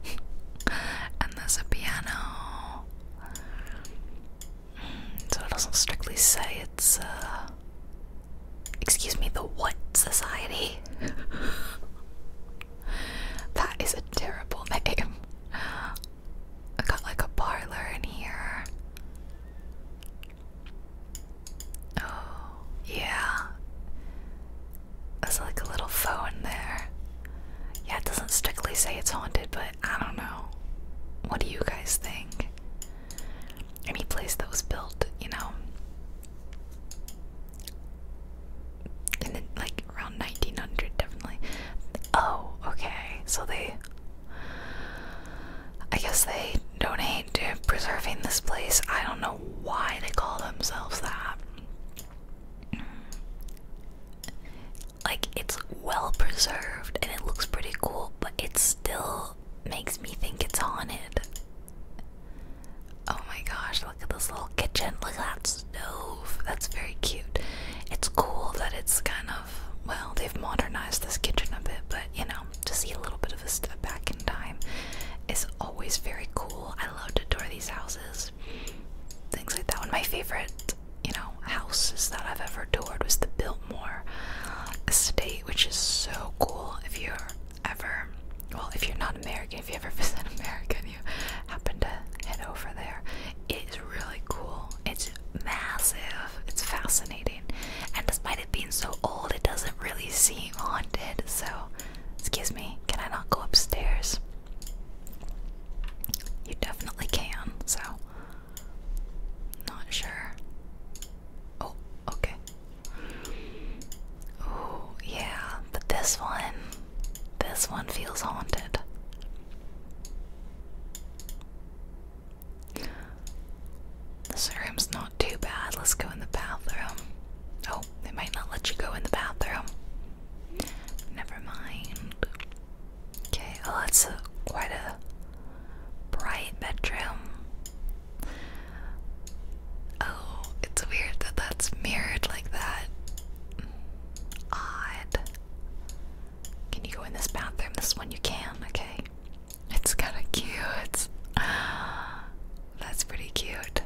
and there's a piano. Mm, so it doesn't strictly say it's, uh. Excuse me, the what society? that is a terrible name. I got like a parlor in here. Oh, yeah. There's like a little foe there. Yeah, it doesn't strictly say it's haunted, but I don't know. What do you guys think? Any place that was built, you know, in like around 1900, definitely. Oh, okay. So they. I guess they donate to preserving this place. I don't know why they call themselves that. Like, it's well preserved and it looks pretty cool, but it still makes me think it's haunted. Oh my gosh, look at this little kitchen. Look at that stove. That's very cute. It's cool that it's kind of, well, they've modernized this kitchen a bit, but you know, to see a little bit of a step back in time is always very cool. I love to tour these houses, things like that. One of my favorite, you know, houses that I've ever toured was the Biltmore Estate, which is so cool. If you're ever, well, if you're not American, if you ever visit America and you happen to head over there, it is really cool. It's massive. It's fascinating, and it's my being so old, it doesn't really seem haunted. So, excuse me, can I not go upstairs? You definitely can, so. Not sure. Oh, okay. Oh, yeah, but this one. This one feels haunted. This room's not too bad. Let's go in the bathroom. Oh, they might not let you go in the bathroom. Never mind. Okay, well, oh, that's a, quite a bright bedroom. Oh, it's weird that that's mirrored like that. Odd. Can you go in this bathroom? This one you can, okay. It's kind of cute. That's pretty cute.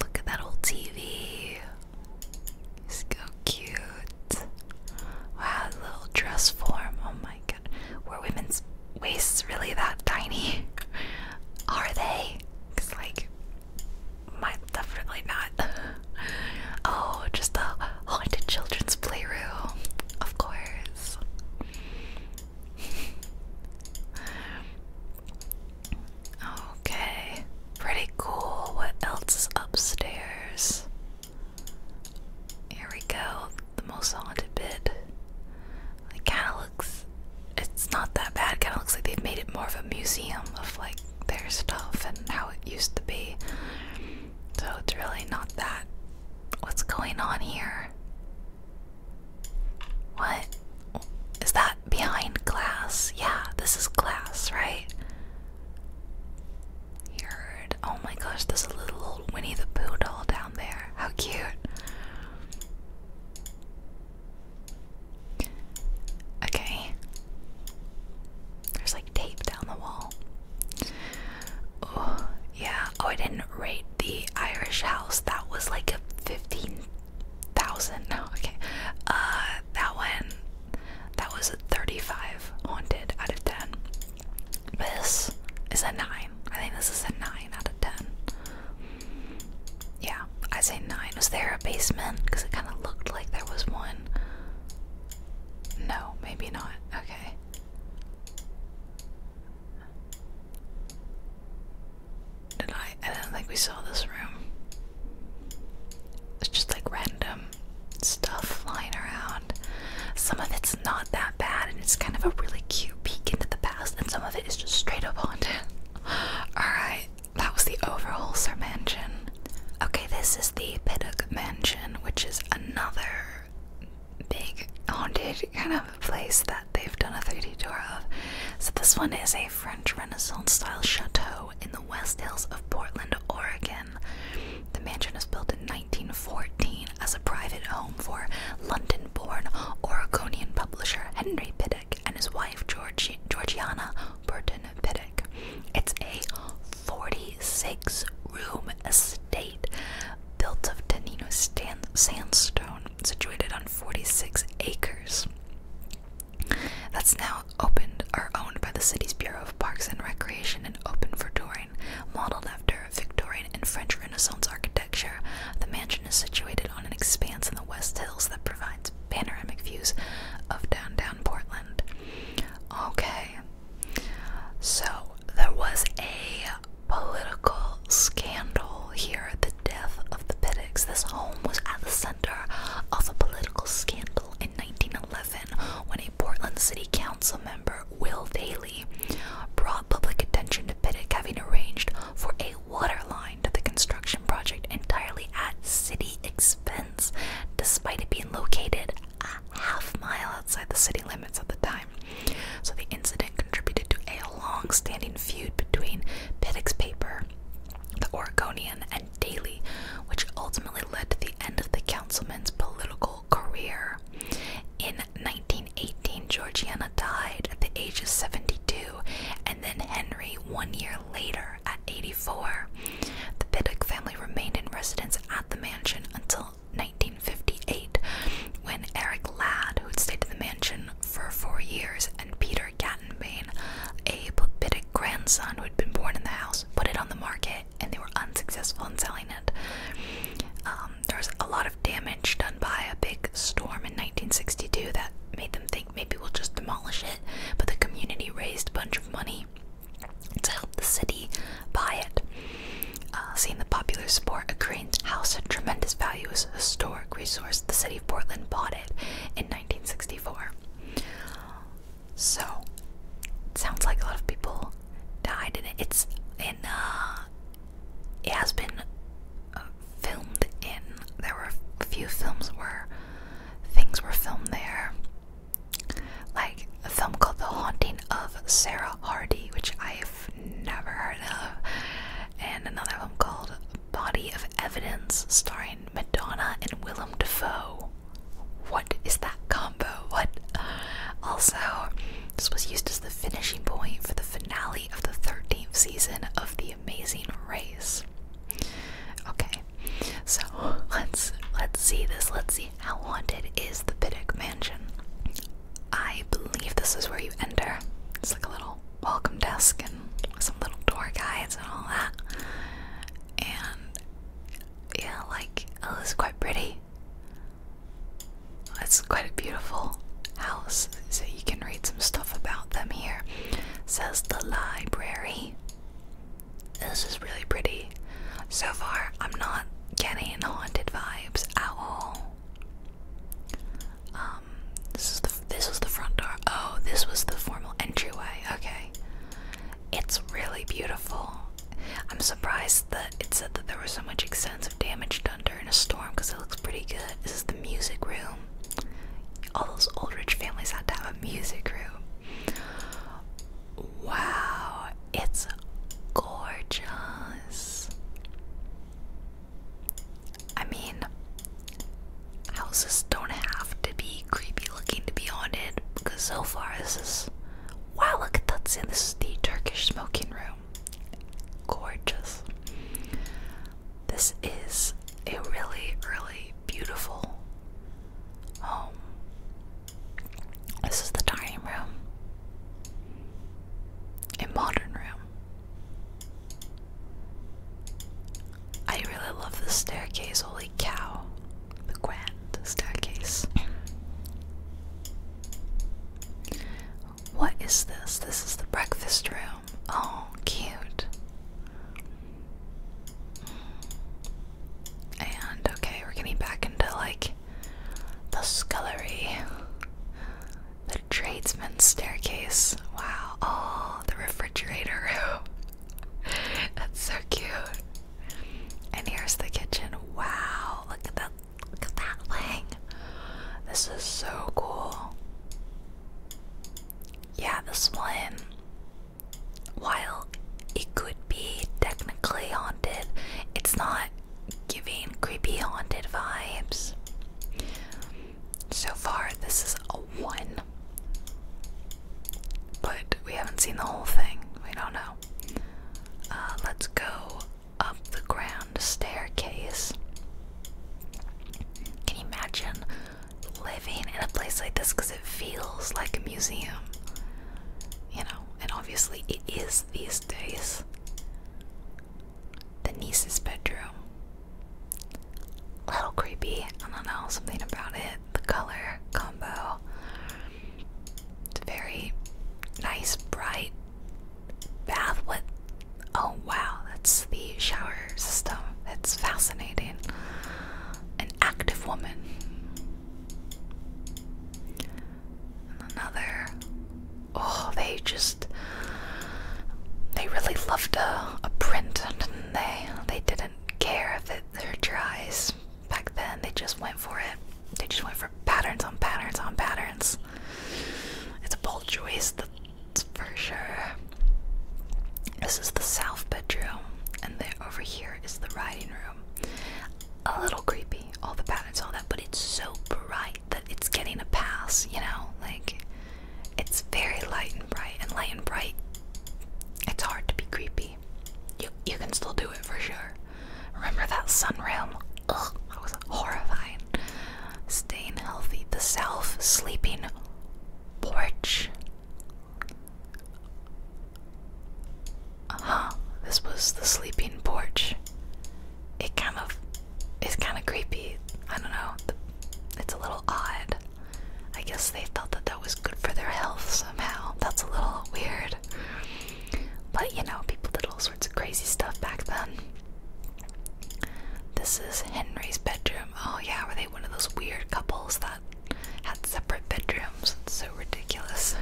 Look at that old TV. It's so cute. Wow, little dress form. Oh my god. Were women's waists really that tiny? Are they? Because, like, mine definitely not. oh, just the haunted children's playroom, of course. okay, pretty cool. What else is upstairs? Here we go, the most haunted bit. It kind of looks, it's not that bad, kind of looks like they've made it more of a museum of like their stuff and how it used to be. So it's really not that. What's going on here? What? Is that behind glass? Yeah, this is glass, right? You heard. Oh my gosh, there's a little old Winnie the Pooh doll down there. How cute. Okay. There's like tape down the wall. Oh, yeah. Oh, I didn't rate the Irish house. That was like a 15,000. No, okay. Uh, that one, that was a 35 haunted out of 10. This is a 9. I think this is a 9 out of 10. Yeah, I say 9. Was there a basement? Because it kind of looked like there was one. No, maybe not. Okay. Did I? I don't think we saw this room. It's just like random stuff flying around. Some of it's not that bad, and it's kind of a really cute peek into the past, and some of it is just straight up haunted. Alright, that was the Overholser Mansion. Okay, this is the Piddock Mansion, which is another big haunted kind of place that they've done a 3D tour of. So this one is a French Renaissance style chateau in the West Hills of Portland, Oregon. The mansion was built in 1914 as a private home for London-born Oregonian publisher Henry Piddick and his wife Georgiana Burton Piddick. It's a 40 6 room estate built of Tenino sandstone situated on 46 acres. That's now opened or owned by the city's Bureau of Parks and Recreation and open for touring. Modeled after Victorian and French Renaissance architecture, the mansion is situated on an expanse in the West Hills that provides panoramic views of downtown Portland. Okay, so there was a political scandal here, at the death of the Pittocks. This home was at the center of a political scandal in 1911 when a Portland City Council member, Will Daly, brought public attention to Pittock having arranged for a water line to the construction project entirely at city expense, despite it being located a half mile outside the city limits at the time. So the incident contributed to a long standing feud between Pittac's paper, the Oregonian, and Daily, which ultimately led to the end of the councilman's political career. In 1918, Georgiana died at the age of 72, and then Henry one year later at 84. The Biddick family remained in residence at the mansion until 1958 when Eric Ladd, who had stayed at the mansion for four years, and Peter Gattenbane, a bit of grandson who had been born in the house, put it on the market and they were unsuccessful in selling it. Um, there was a lot of damage done by a big storm in 1962 that made them think maybe we'll just demolish it, but the community raised a bunch of money to help the city buy it. Uh, seeing the popular sport, a crane's house had tremendous value as a historic resource. The city of Portland bought it in 1964. So, it sounds like a lot of people died in it. It's in, uh, it has been uh, filmed in, there were a few films where things were filmed there like a film called The Haunting of Sarah Hardy, which I've never heard of, and another film called Body of Evidence, starring Madonna and Willem Dafoe. What is that combo? What? Also, this was used as the finishing point for the finale of the 13th season of The Amazing Race. Okay, so let's let's see this. Let's see how haunted is the Biddick Mansion? I believe this is where you enter. It's like a little welcome desk and some little door guides and all that. And yeah, like oh, it's quite pretty. It's quite a beautiful house. So you can read some stuff about them here. says the library. This is really pretty. So far, I'm not getting haunted vibes at all. Um, this is the this was the front door. Oh, this was the formal entryway. Okay, it's really beautiful. I'm surprised that it said that there was so much extensive damage done during a storm because it looks pretty good. This is the music room. All those old rich families had to have a music room. Wow, it's gorgeous. I mean, houses don't have to be creepy looking to be haunted because so far this is. Wow, look at that scene. This is the Turkish smoking room. Gorgeous. This is a really, really beautiful home. This is the dining room. A modern room. I really love this staircase, holy cow. The grand staircase. What is this? This is the breakfast room. Oh, cute. And okay, we're getting back into like the scullery, the tradesman's staircase. Wow. Oh, the refrigerator room. That's so cute. And here's the kitchen. Wow. Look at that. Look at that thing. This is so cool. Yeah, this one. While it could be technically haunted. It's not giving creepy haunted vibes. So far, this is a one. But we haven't seen the whole thing. We don't know. Uh, let's go up the ground staircase. Can you imagine living in a place like this? Because it feels like a museum you know, and obviously it is these days. The niece's bedroom. A little creepy, I don't know, something about it. The color combo. It's very nice, bright bath with. Oh wow, that's the shower system. It's fascinating. An active woman another. Oh, they just. They really loved a, a print, and they? They didn't care if it their tries back then. They just went for it. They just went for patterns on patterns on patterns. It's a bold choice, that's for sure. This is the south bedroom, and then over here is the writing room a little creepy, all the patterns, all that, but it's so bright that it's getting a pass, you know? Like, it's very light and bright, and light and bright, it's hard to be creepy. You, you can still do it for sure. Remember that sun realm? Ugh, that was horrifying. Staying healthy, the self sleeping porch. Uh This was the sleeping porch. It kind of is kind of creepy. I don't know. it's a little odd. I guess they thought that that was good for their health somehow. That's a little weird. But you know, people did all sorts of crazy stuff back then. This is Henry's bedroom. Oh, yeah, were they one of those weird couples that had separate bedrooms? It's so ridiculous.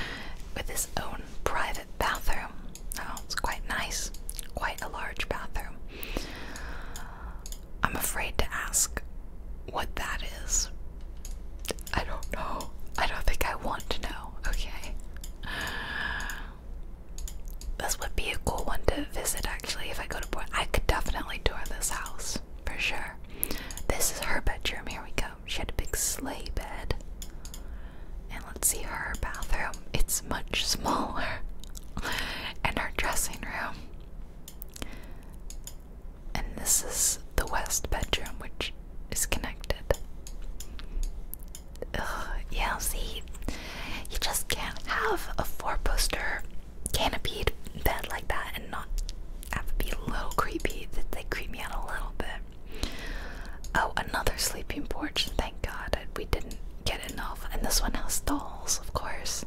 With his own private bathroom. Oh, it's quite nice. Quite a large bathroom. I'm afraid to ask what that is. I don't know. I don't think I want to know. Okay. This would be a cool one to visit actually if I go to Port. I could definitely tour this house for sure. This is her bedroom. Here we go. She had a big sleigh bed. And let's see her bathroom. It's much smaller. and her dressing room. And this is the west bedroom, which is connected. yeah, see, you just can't have a four poster canopied bed like that and not have it be a little creepy. That They creep me out a little bit. Oh, another sleeping porch. Thank God we didn't get enough. And this one has dolls, of course.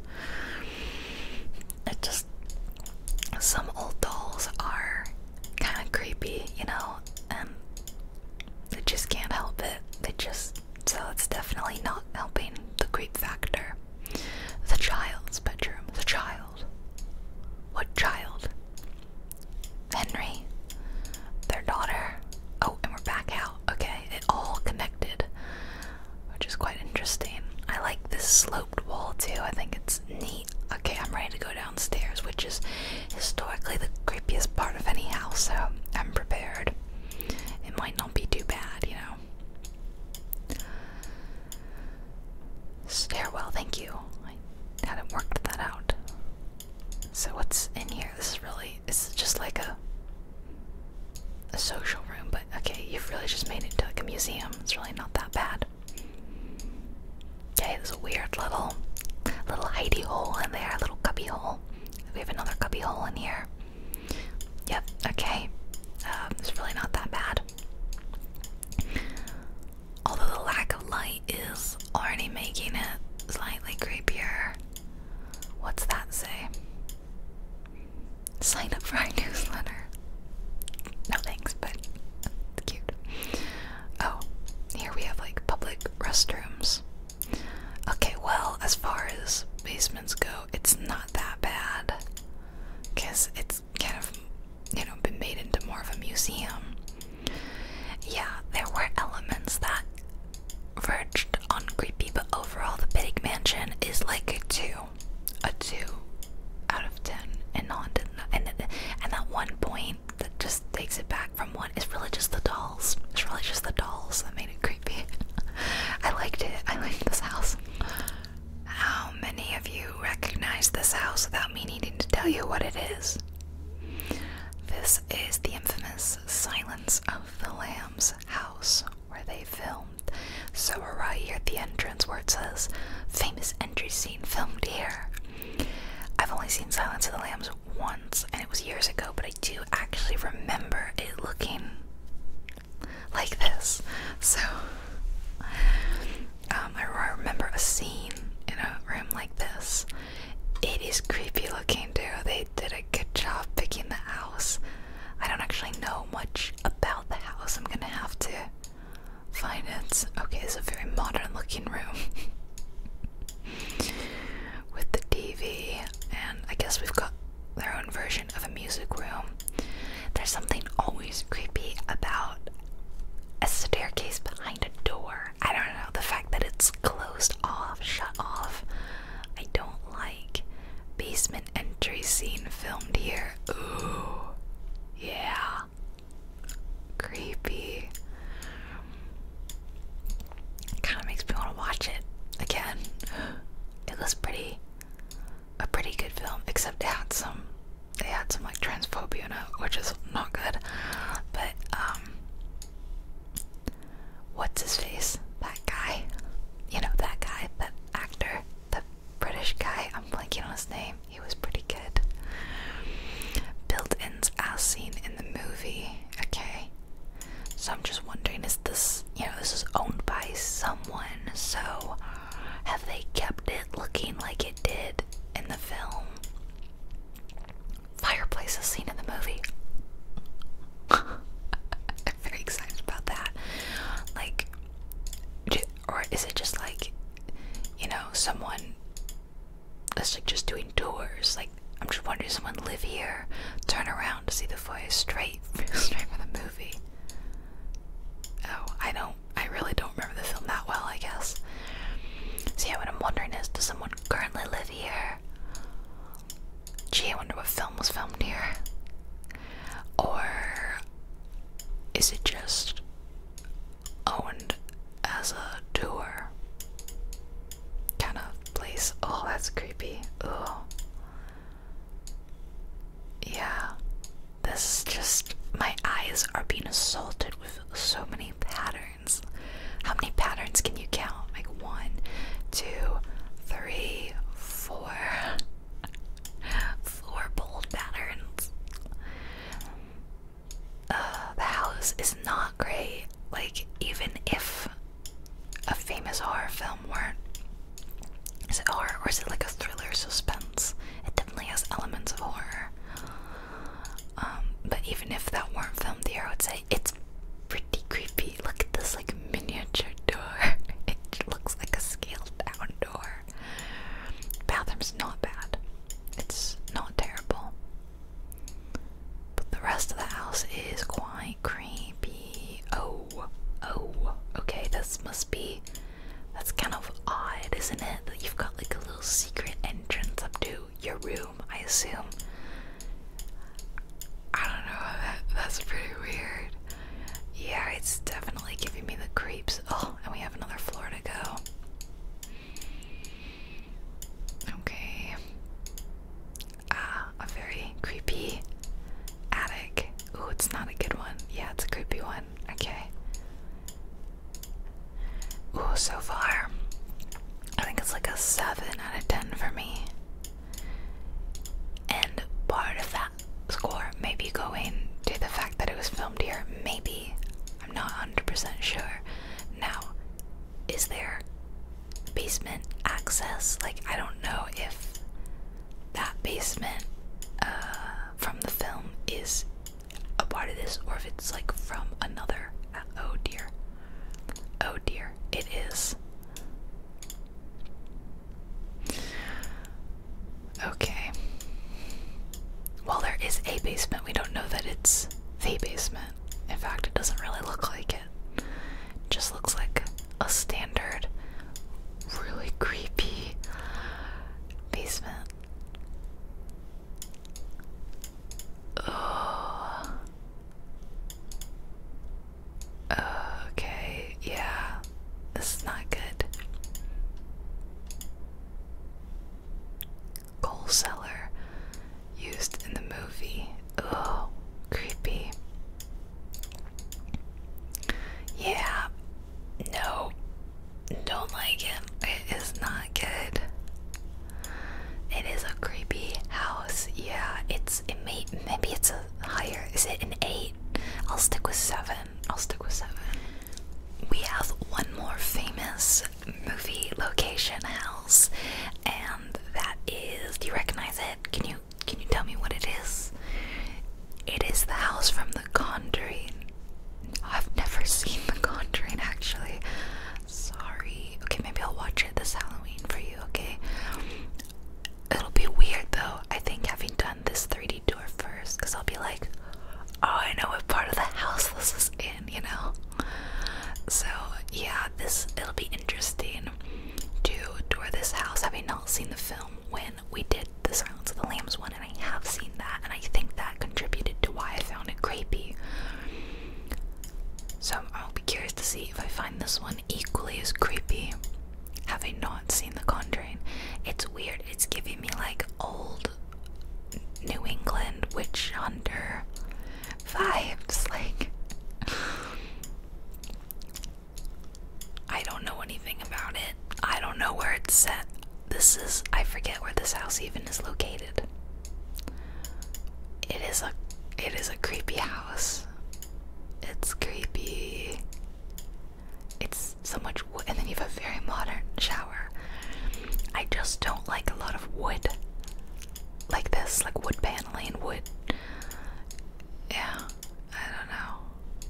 It just. Some old dolls are kind of creepy, you know, and they just can't help it. They just. So it's definitely not helping the creep factor. The child's bedroom. The child. What child? Henry. Their daughter. Oh, and we're back out. Okay, it all connected, which is quite interesting. I like this sloped wall too. I think it's neat. Okay, I'm ready to go downstairs, which is historically the creepiest part of any house, so I'm prepared. It might not be too bad, you know. Stairwell, thank you hadn't worked that out. So what's in here? This is really it's just like a a social room, but okay, you've really just made it to like a museum. It's really not that bad. Okay, there's a weird little little hidey hole in there, a little cubby hole. We have another cubby hole in here. Yep, okay. Um, it's really not that bad. Although the lack of light is already making it slightly creepier. What's that say? Sign up for our newsletter. No thanks, but it's cute. Oh, here we have like public restrooms. Okay, well, as far as basements go, it's not that bad. Because it's it's kind of, you know, been made into more of a museum. Yeah, there were elements that verged on creepy, but overall, the Big Mansion is like a two, a two out of ten, and haunted. And and that one point that just takes it back from one really just the dolls. It's really just the dolls that made it creepy. I liked it. I liked this house. How many of you recognize this house? me needing to tell you what it is. This is the infamous Silence of the Lambs house where they filmed. So we're right here at the entrance where it says famous entry scene filmed here. I've only seen Silence of the Lambs once and it was years ago, but I do actually remember it looking like this. So um, I remember a scene in a room like this. It is creepy looking too. They did a good job picking the house. I don't actually know much about the house. I'm gonna have to find it. Okay, it's a very modern looking room with the TV, and I guess we've got their own version of a music room. There's something always creepy about a staircase behind a door. I don't know. The fact that it's closed off, shut off. I don't like basement entry scene filmed here. Ooh. Yeah. Creepy. Kind of makes me want to watch it again. It was pretty a pretty good film, except it had some they had some like transphobia in it, which is not good. But um, what's his face? That guy, you know that guy, that actor, the British guy. I'm blanking on his name. He was pretty good. Built-ins as seen in the movie. Okay, so I'm just wondering, is this you know this is owned by someone? So have they kept it looking like it did in the film? fireplaces seen in the movie. I'm very excited about that. Like, or is it just like, you know, someone that's like just doing tours? Like, I'm just wondering, someone live here, turn around to see the foyer straight, straight from the movie? Oh, I don't, I really don't remember the film that well, I guess. See, what I'm wondering is, does someone currently live here? Gee, I wonder what film was filmed here. Or is it just owned as a tour kind of place? Oh, that's creepy. Oh. Yeah. This is just. My eyes are being assaulted with so many patterns. How many patterns can you count? Like one, two, bold patterns. Uh, the house is not great. Like, even if a famous horror film weren't. Is it horror or is it like a thriller suspense? It definitely has elements of horror. Um, but even if that weren't filmed here, I would say it's pretty creepy. Look at this like miniature door. it looks like a scaled down door. Bathroom's not bad. It's not terrible. But the rest of the house is quite creepy. Oh, oh, okay, this must be that's kind of odd, isn't it? That you've got like a little secret entrance up to your room, I assume. I don't know, that's pretty weird. Yeah, it's definitely giving me the creeps. Oh, and we have another floor to go. Okay. Ah, a very creepy attic. Ooh, it's not a good one. Yeah, it's a creepy one. Okay. Ooh, so far, I think it's like a 7 out of 10 for me. And part of that score may be going to the fact that it was filmed here. Maybe. I'm not 100% sure. Now, is there basement access? Like, I don't know if that basement uh, from the film is a part of this or if it's like from another. Uh, oh dear. Oh dear. It is. Okay. Well, there is a basement. We don't know that it's the basement. In fact, it doesn't really look like it. it just looks like a standard, really creepy basement. Oh. Okay, yeah, this is not good. Coal cellar used in the movie. Oh, creepy. Yeah, no, don't like him. It is not good. It is a creepy house. Yeah, it's it may maybe it's a higher. Is it an eight? I'll stick with seven. I'll stick with seven. We have one more famous movie location house, and that is. Do you recognize it? Can you can you tell me what it is? It is the house from The Conjuring. I've never seen The Conjuring actually. Sorry. Okay, maybe I'll watch it this Halloween for you, okay? It'll be weird though, I think, having done this 3D tour first, because I'll be like, oh, I know what part of the house this is in, you know? So, yeah, this it'll be interesting to tour this house having not seen the film when we did the Silence of the Lambs one I have seen that, and I think that contributed to why I found it creepy. So I'll be curious to see if I find this one equally as creepy. having not seen The Conjuring? It's weird. It's giving me like old New England witch hunter vibes. Like, I don't know anything about it. I don't know where it's set. This is, I forget where this house even is located. It is a, it is a creepy house. It's creepy. It's so much wood, and then you have a very modern shower. I just don't like a lot of wood like this, like wood paneling, wood. Yeah, I don't know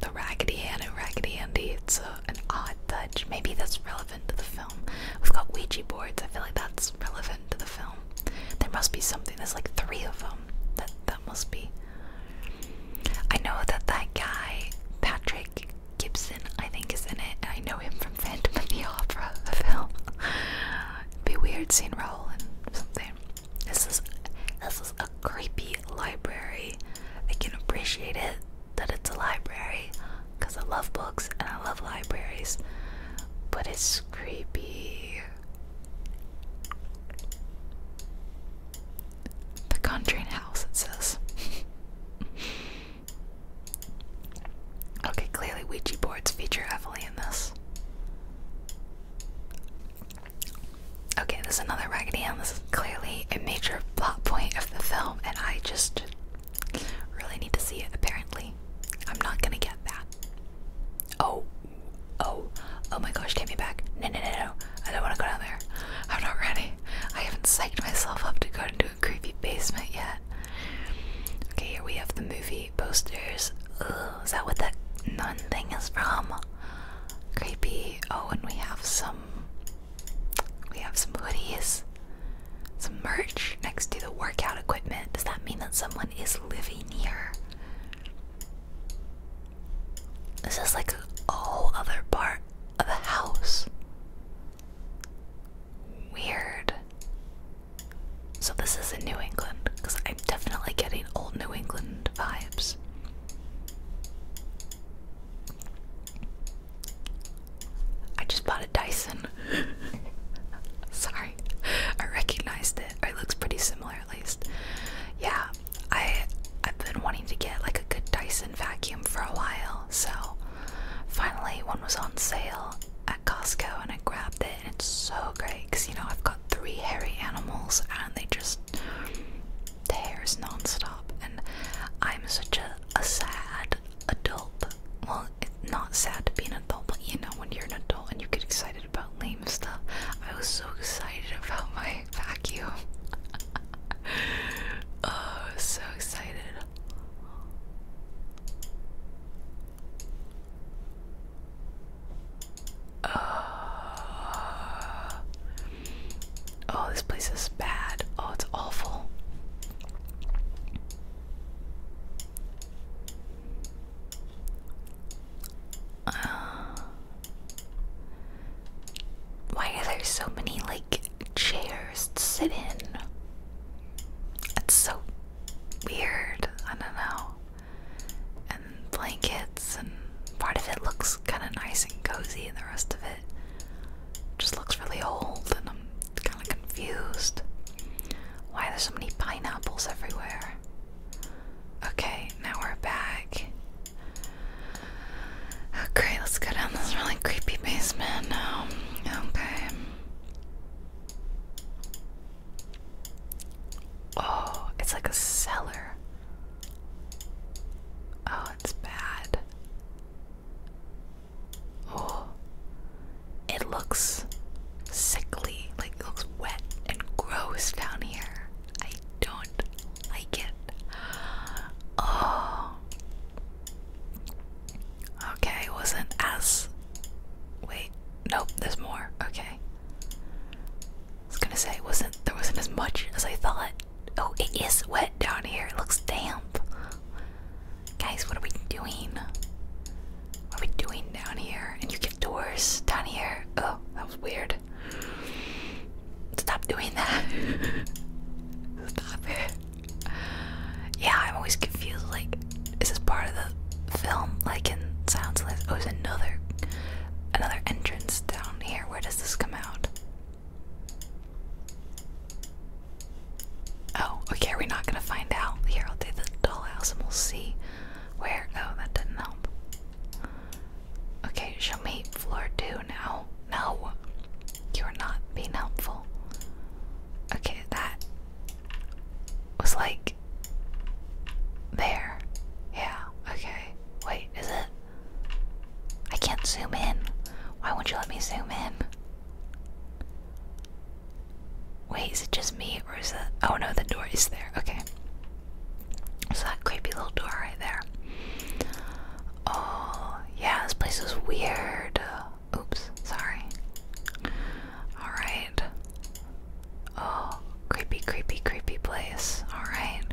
the Raggedy Ann and Raggedy Andy. It's an odd touch. Maybe that's relevant to the film. We've got Ouija boards. I feel like that's relevant to the film. There must be something. There's like three of them. That that must be. I know that that guy Patrick Gibson, I think, is in it, and I know him from Phantom of the Opera, film. It'd be weird seeing Raoul and something. This is this is a creepy library. I can appreciate it that it's a library because I love books and I love libraries, but it's creepy. The Conjuring House, it says. okay, clearly Ouija boards feature heavily in this. Okay, this is another Raggedy Ann. This is clearly a major plot point of the film, and I just really need to see it, apparently. I'm not gonna get that. Oh, oh, oh my gosh, get me back. No, no, no, no. I don't wanna go down there. I'm not ready. I haven't psyched myself up to go into a creepy basement yet. Okay, here we have the movie posters. is that what that nun thing is from? Creepy. Oh, and we have some we have some hoodies, some merch next to the workout equipment. Does that mean that someone is living here? This is like a whole other part of the house. Weird. So, this is in New England because I'm definitely getting old New England vibes. I just bought a Dyson. Sorry, I recognized it. It looks pretty similar, at least. Yeah, I I've been wanting to get like a good Dyson vacuum for a while, so finally one was on sale at Costco, and I grabbed it, and it's so great because you know I've got three hairy animals, and they just tears nonstop, and I'm such a, a sad adult. Well, it's not sad to be an adult, but you know, when you're an adult and you get excited about lame stuff. I was so excited about my vacuum. oh, so excited. Uh, Oh, this place is bad. Oh, it's awful. Uh, why are there so many like chairs to sit in? That's so weird. I don't know. And blankets, and part of it looks kind of nice and cozy, and the rest of it just looks really old and I'm kind of confused. Why there's so many pineapples everywhere? Okay, now we're back. Okay, let's go down this really creepy basement now. Okay. Oh, it's like a cellar. Oh, it's bad. Oh, it looks sickly, like it looks wet and gross down here. I don't like it. Oh, okay, it wasn't as. Wait, nope, there's more. Okay, I was gonna say it wasn't. There wasn't as much as I thought. Oh, it is wet down here. It looks damp. Guys, what are we doing? What are we doing down here? And you get doors down here. Oh, that was weird. Stop doing that. Stop it. Yeah, I'm always confused. Like, is this part of the film? Like in sounds like the Lambs? Oh, there's another, another entrance down here. Where does this come out? Oh, okay, we're not gonna find out. Here, I'll do the dollhouse and we'll see where. Oh, that didn't help. Okay, show me floor two now. No, you are not being helpful. Okay, that was like there. Yeah, okay. Wait, is it? I can't zoom in. Why won't you let me zoom in? Wait, is it just me or is it? Oh no, the door is there. Okay. So that creepy little door right there. Oh, yeah, this place is weird. Oops, sorry. Alright. Oh, creepy, creepy, creepy place. Alright.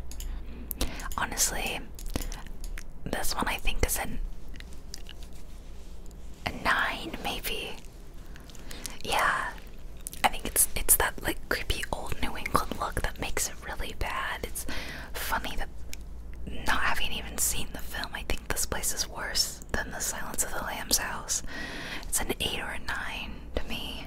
Honestly, this one I think is an, a nine, maybe. Yeah, I think it's it's that like creepy old New England look that makes it really bad. It's funny that not having even seen the film, I think this place is worse than the Silence of the Lambs house. It's an eight or a nine to me.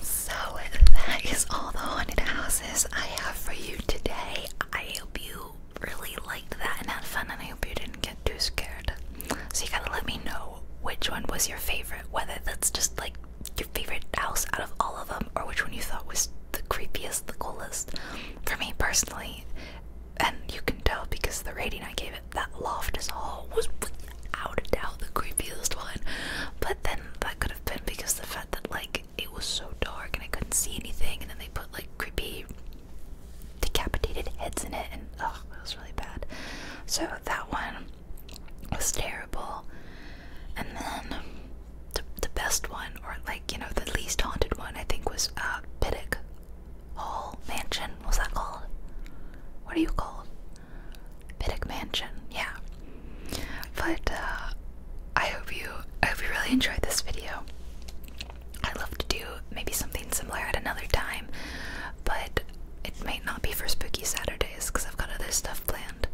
So that is all the haunted houses I have for you today. I hope you really liked that and had fun, and I hope you didn't get too scared. So you gotta let me know which one was your favorite, whether that's just like your favorite house out of all of them, or which one you thought was the creepiest, the coolest. For me personally, and you can tell because the rating I gave it, that Loft is Hall was without a doubt the creepiest one. But then that could have been because the fact that like it was so dark and I couldn't see anything, and then they put like creepy decapitated heads in it, and oh, it was really bad. So that one was terrible. And then the, best one, or like you know, the least haunted one, I think was uh, Piddick Hall Mansion. What's that called? What are you called? Piddick Mansion, yeah. But uh, I hope you I hope you really enjoyed this video. I'd love to do maybe something similar at another time, but it may not be for Spooky Saturdays because I've got other stuff planned.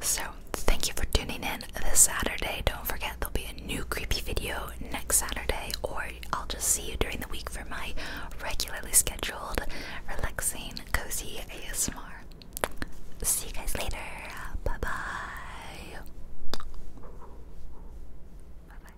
So thank you for tuning in this Saturday. Don't forget there'll be a new creepy video next Saturday, or I'll just see you during the week for my regularly scheduled, relaxing, cozy ASMR. See you guys later. Bye bye. Bye bye.